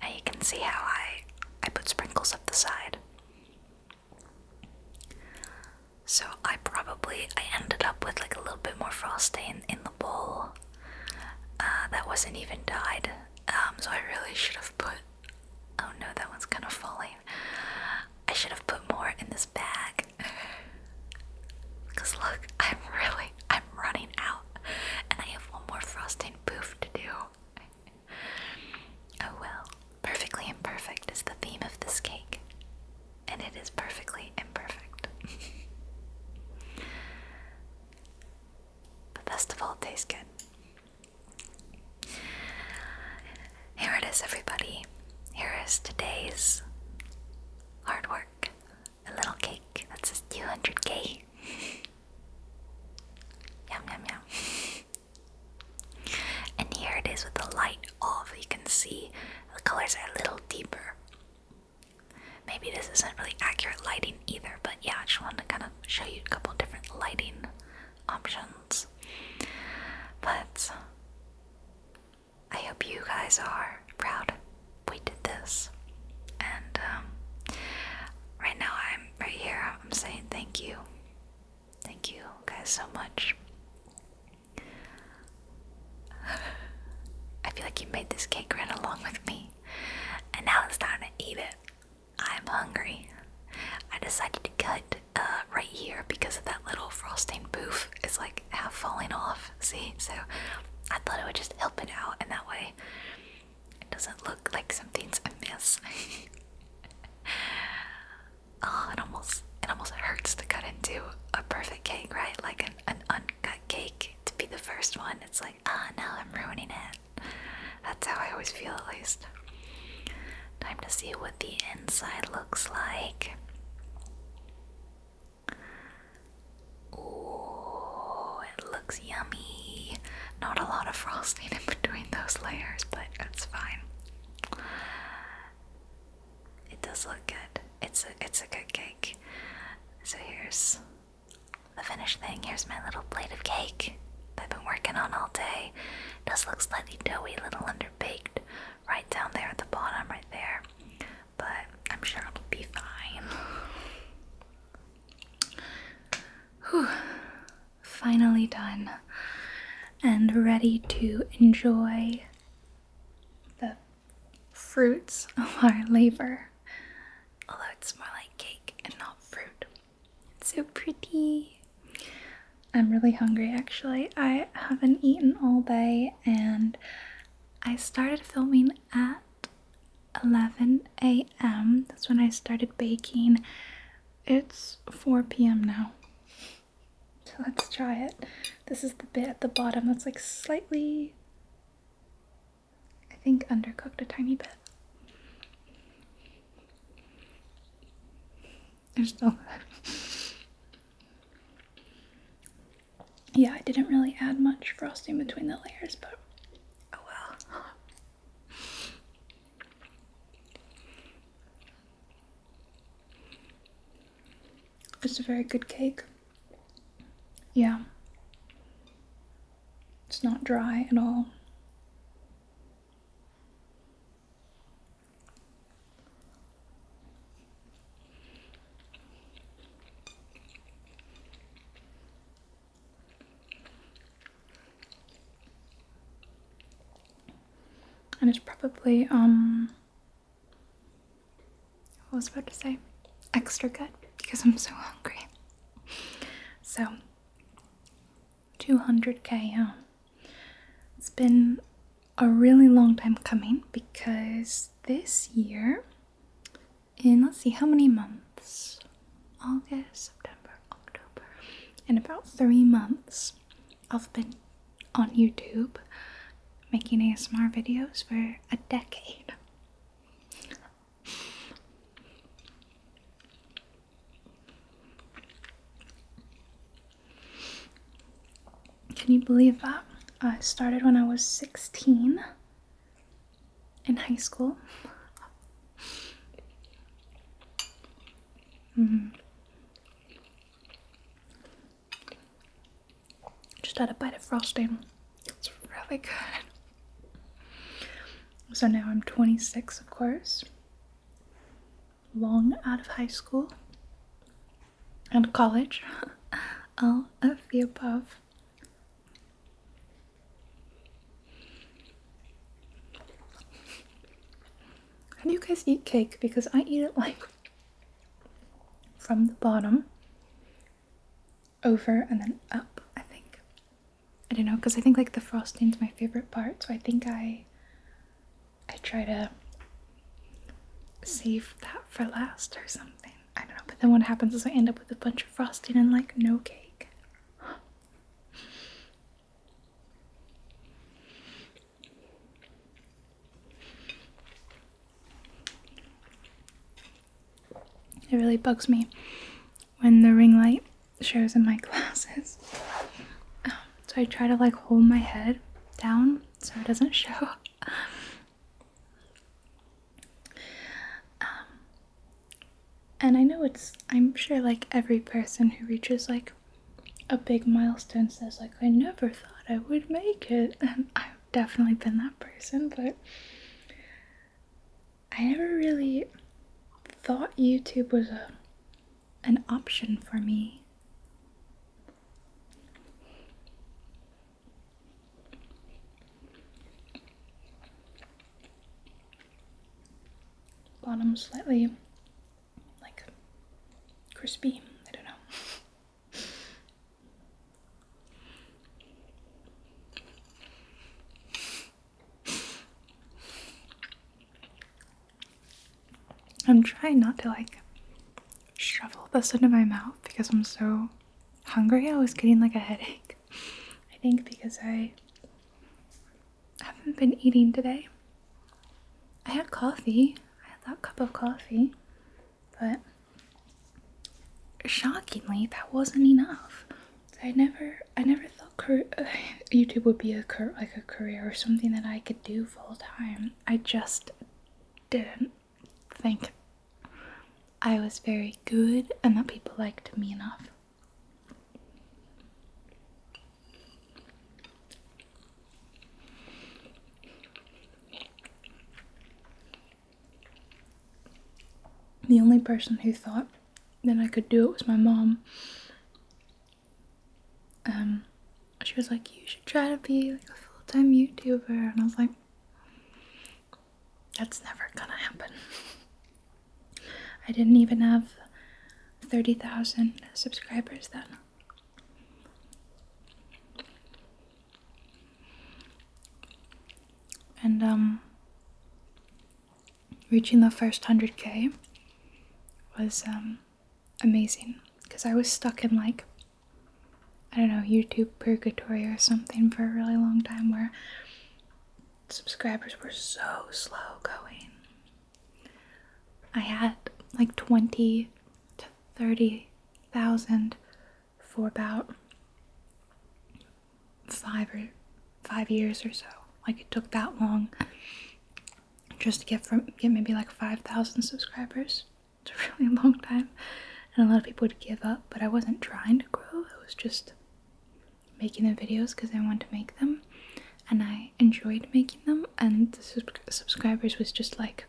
And you can see how I I put sprinkles up the side. So I probably I ended up with like a little bit more frosting in, the bowl uh, that wasn't even dyed. Um, so I really should have put. Oh no, that one's kind of falling. I should have put more in this this Cause look, I'm really, I'm running out, and I have one more frosting poof to do. Oh well, perfectly imperfect is the theme of this cake, and it is perfectly imperfect. but best of all, it tastes good. Here it is, everybody. Here is today's hard work. A little cake That's says 200k. yum, yum, yum. And here it is with the light off. You can see the colors are a little deeper. Maybe this isn't really accurate lighting either, but yeah, I just wanted to kind of show you a couple different lighting options. But I hope you guys are proud we did this. And um, right now, I'm right here, I'm saying thank you. Thank you guys so much. I feel like you made this cake right along with me. And now it's time to eat it. I'm hungry. I decided to cut uh, right here because of that little frosting poof is like half falling off. See? So I thought it would just help it out and that way it doesn't look like something's amiss. oh, it almost it almost hurts to cut into a perfect cake, right? Like an, an uncut cake to be the first one. It's like, ah oh, no, I'm ruining it. That's how I always feel at least. Time to see what the inside looks like. Ooh, it looks yummy. Not a lot of frosting in between those layers, but that's fine. It does look good. It's a it's a good cake. So here's the finished thing. Here's my little plate of cake that I've been working on all day. does look slightly doughy, a little underbaked, right down there at the bottom, right there. But I'm sure it'll be fine. Whew. Finally done and ready to enjoy the fruits of our labor. Although it's more like cake and not fruit. It's so pretty. I'm really hungry actually. I haven't eaten all day and I started filming at 11 a.m. That's when I started baking. It's 4 p.m. now. So let's try it. This is the bit at the bottom that's like slightly, I think, undercooked a tiny bit they still good. yeah, I didn't really add much frosting between the layers, but oh well. It's a very good cake. Yeah. It's not dry at all. And it's probably, um, what was about to say, extra good because I'm so hungry. So, 200k, It's been a really long time coming because this year, in let's see how many months August, September, October, in about three months, I've been on YouTube making ASMR videos for a decade. Can you believe that? I started when I was 16 in high school. Mm-hmm. Just had a bite of frosting. It's really good. So now I'm 26, of course. Long out of high school and college, all of the above. How do you guys eat cake? Because I eat it like from the bottom over and then up, I think. I don't know, because I think like the frosting's my favorite part, so I think I I try to save that for last or something. I don't know. But then what happens is I end up with a bunch of frosting and like no cake. It really bugs me when the ring light shows in my glasses. Um, so I try to like hold my head down so it doesn't show. Um, and I know it's, I'm sure like every person who reaches like a big milestone says like, I never thought I would make it. And I've definitely been that person, but I never really thought YouTube was a, an option for me Bottom slightly like crispy. I don't know. I'm trying not to like shovel this into my mouth because I'm so hungry. I was getting like a headache. I think because I haven't been eating today. I had coffee. I had that cup of coffee. But shockingly, that wasn't enough. I never I never thought YouTube would be a like a career or something that I could do full time. I just didn't think I was very good and that people liked me enough. The only person who thought that I could do it was my mom. Um, she was like, You should try to be like a full time YouTuber. And I was like, That's never gonna happen. I didn't even have 30,000 subscribers then. And, um, reaching the first 100k was, um, amazing because I was stuck in like I don't know YouTube purgatory or something for a really long time where subscribers were so slow going. I had like 20 to 30,000 for about 5 or 5 years or so. Like it took that long just to get from get maybe like 5,000 subscribers. It's a really long time, and a lot of people would give up, but I wasn't trying to grow, I was just making the videos because I wanted to make them, and I enjoyed making them, and the subscribers was just like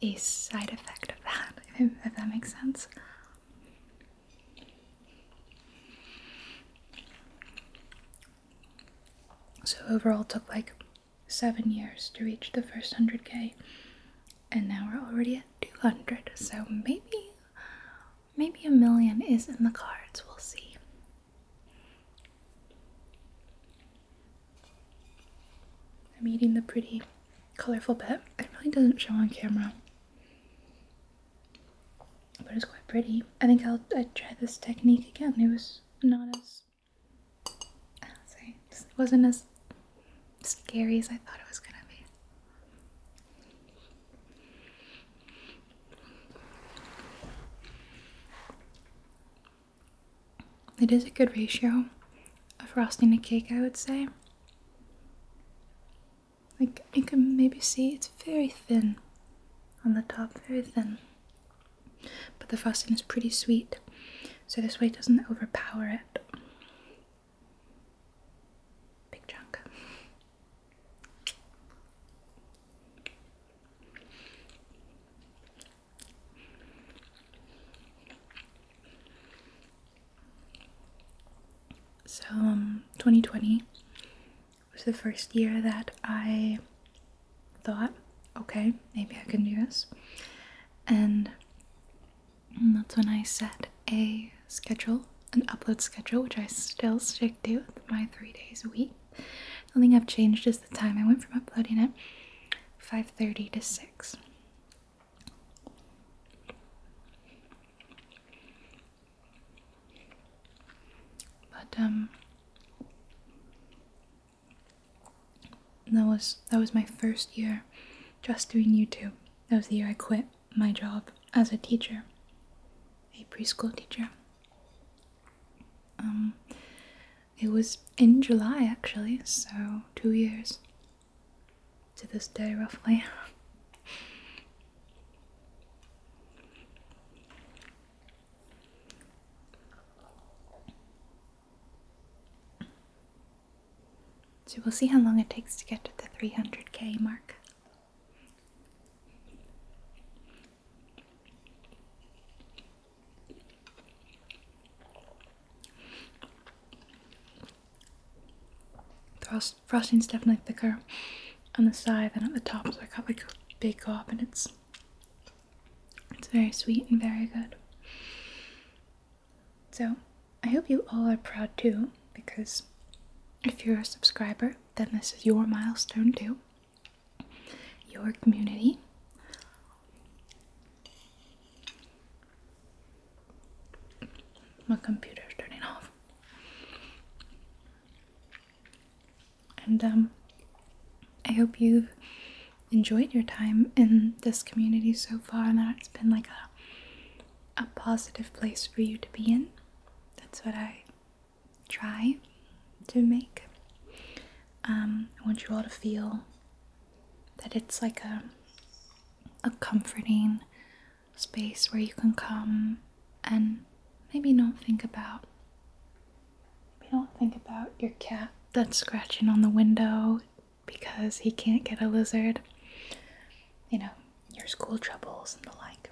a side effect of that, if, if that makes sense. So overall it took like seven years to reach the first 100k and now we're already at 200 so maybe maybe a million is in the cards we'll see i'm eating the pretty colorful bit it really doesn't show on camera but it's quite pretty i think i'll I try this technique again it was not as Oh, wasn't as scary as I thought it was gonna be. It is a good ratio of frosting a cake, I would say. Like you can maybe see it's very thin on the top, very thin but the frosting is pretty sweet, so this way it doesn't overpower it. Big chunk. So, 2020 um, was the first year that I thought, okay, maybe I can do this. And that's when I set a schedule, an upload schedule, which I still stick to my three days a week. The only thing I've changed is the time I went from uploading it 5.30 to 6. But, um, that was that was my first year just doing YouTube. That was the year I quit my job as a teacher, a preschool teacher. Um, it was in July actually, so two years to this day, roughly. So we'll see how long it takes to get to the 300k mark. frosting is definitely thicker on the side than at the top, so I got like a big gob and it's it's very sweet and very good. So, I hope you all are proud too, because if you're a subscriber, then this is your milestone too. Your community. My computer's turning off. And, um, I hope you've enjoyed your time in this community so far and that it's been like a, a positive place for you to be in. That's what I try to make. Um, I want you all to feel that it's like a a comforting space where you can come and maybe not think about Maybe don't think about your cat that's scratching on the window because he can't get a lizard. You know, your school troubles and the like.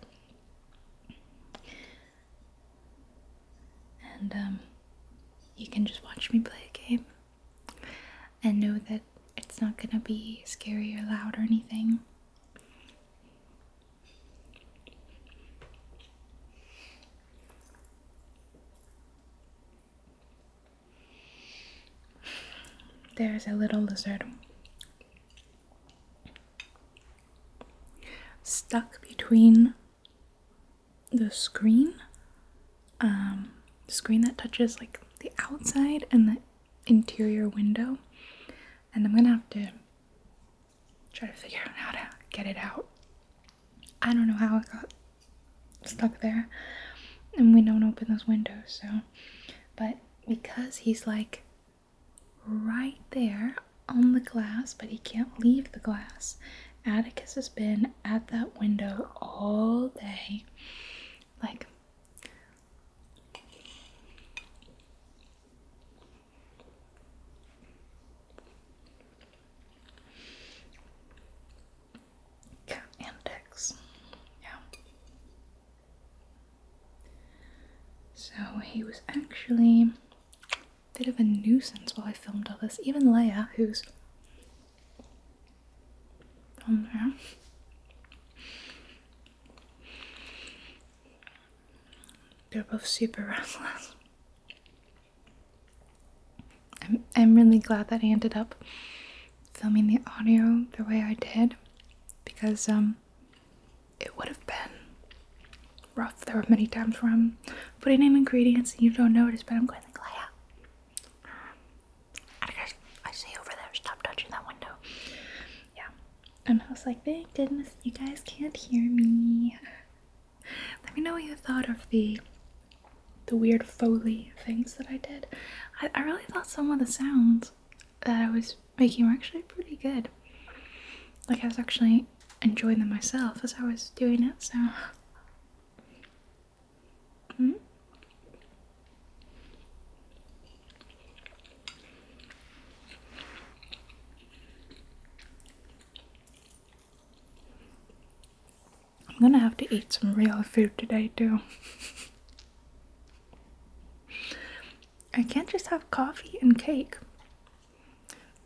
And um, you can just watch me play a game and know that it's not gonna be scary or loud or anything. There's a little lizard stuck between the screen, um, screen that touches like the outside and the interior window. And I'm gonna have to try to figure out how to get it out. I don't know how it got stuck there. And we don't open those windows, so. But because he's like right there on the glass, but he can't leave the glass, Atticus has been at that window all day. Like, Cat antics. Yeah. So he was actually a bit of a nuisance while I filmed all this. Even Leia, who's on there. They're both super restless. I'm, I'm really glad that I ended up filming the audio the way I did because um, it would have been rough. There were many times where I'm putting in ingredients and you don't notice, but I'm going like, Leia, out. I see over there, stop touching that window. Yeah. And I was like, thank goodness you guys can't hear me. Let me know what you thought of the the weird foley things that I did. I, I really thought some of the sounds that I was making were actually pretty good. Like I was actually enjoying them myself as I was doing it, so mm. I'm gonna have to eat some real food today, too. I can't just have coffee and cake,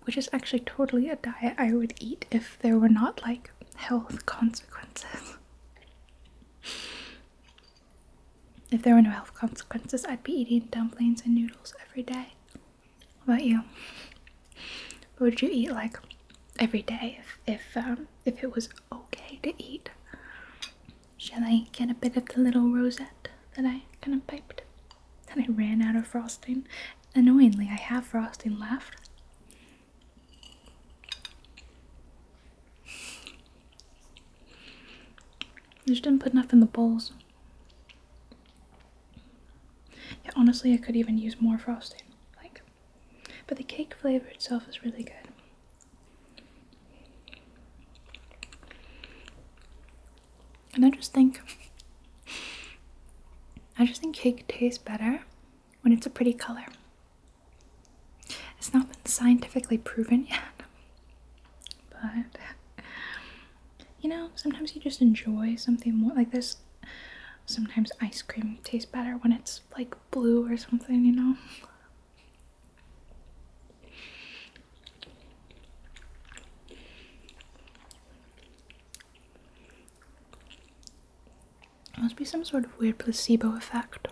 which is actually totally a diet I would eat if there were not like health consequences. if there were no health consequences, I'd be eating dumplings and noodles every day. What about you? would you eat like every day if if, um, if it was okay to eat? Shall I get a bit of the little rosette that I kind of piped? That I ran out of frosting. Annoyingly, I have frosting left. I just didn't put enough in the bowls. Yeah, honestly, I could even use more frosting. Like, but the cake flavor itself is really good. And I just think I just think cake tastes better when it's a pretty color. It's not been scientifically proven yet. But you know, sometimes you just enjoy something more like this Sometimes ice cream tastes better when it's like blue or something, you know? must be some sort of weird placebo effect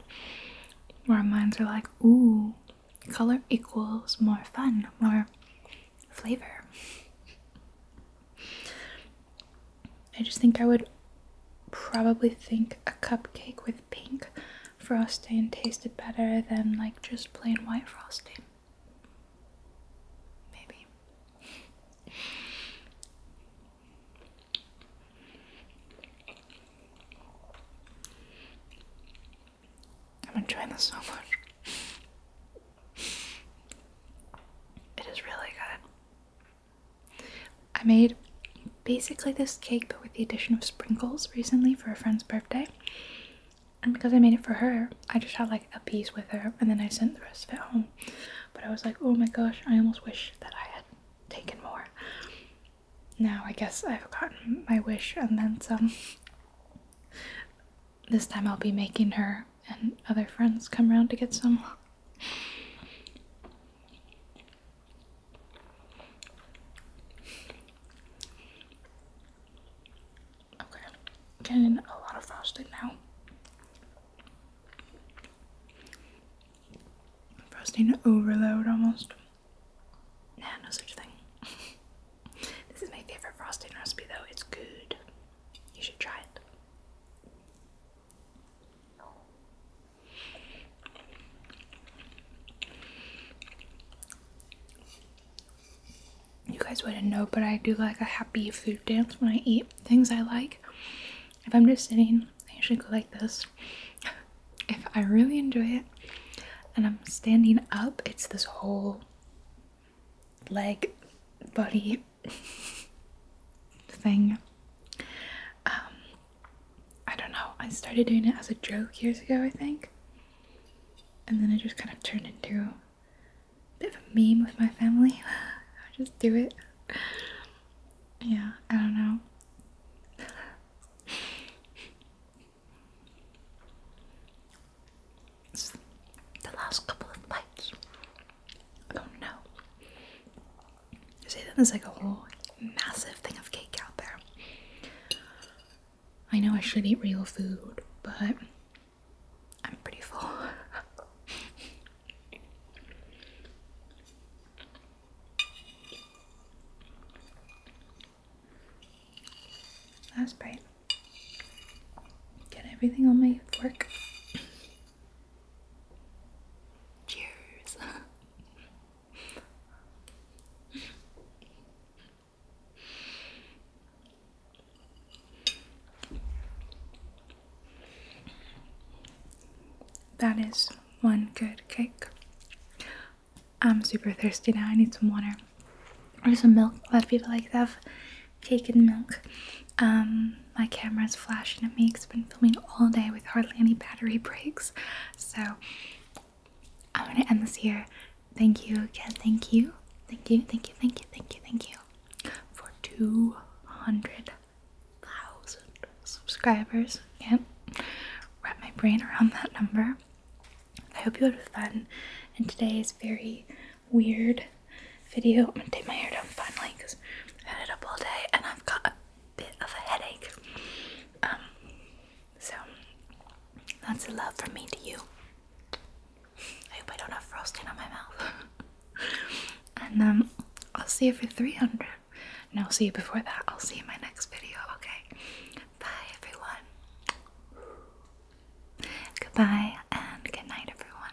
where our minds are like, ooh, color equals more fun, more flavor. I just think I would probably think a cupcake with pink frosting tasted better than like just plain white frosting. Maybe. I'm enjoying this so much. It is really good. I made basically this cake but with the addition of sprinkles recently for a friend's birthday. And because I made it for her, I just had like a piece with her and then I sent the rest of it home. But I was like, oh my gosh, I almost wish that I had taken more. Now I guess I've gotten my wish and then some. This time I'll be making her and other friends come around to get some. Okay, getting a lot of frosting now. Frosting overload almost. Nah, no such thing. this is my favorite frosting recipe though, it's good. You should try it. You guys wouldn't know, but I do like a happy food dance when I eat things I like. If I'm just sitting, I usually go like this. If I really enjoy it and I'm standing up, it's this whole leg, body thing. Um, I don't know, I started doing it as a joke years ago, I think, and then I just kind of turned into a bit of a meme with my family. I just do it. Yeah, I don't know. the last couple of bites I don't know. See, then there's like a whole massive thing of cake out there. I know I should eat real food, but I'm pretty full. Last bite. Get everything on my fork. Cheers. that is one good cake. I'm super thirsty now. I need some water or some milk. A lot of people like that cake and milk. Um, my camera's flashing at me It's been filming all day with hardly any battery breaks. So I'm gonna end this here. Thank you again. Thank you. Thank you. Thank you. Thank you. Thank you. Thank you for 200,000 subscribers. Yep. Wrap my brain around that number. I hope you had fun. And today is very weird video. I'm gonna take my hair down finally because i had it up all day and I've got a bit of a headache. Um, so that's a love from me to you. I hope I don't have frosting on my mouth. and um, I'll see you for 300. No, I'll see you before that. I'll see you in my next video, okay? Bye, everyone. Goodbye and good night, everyone.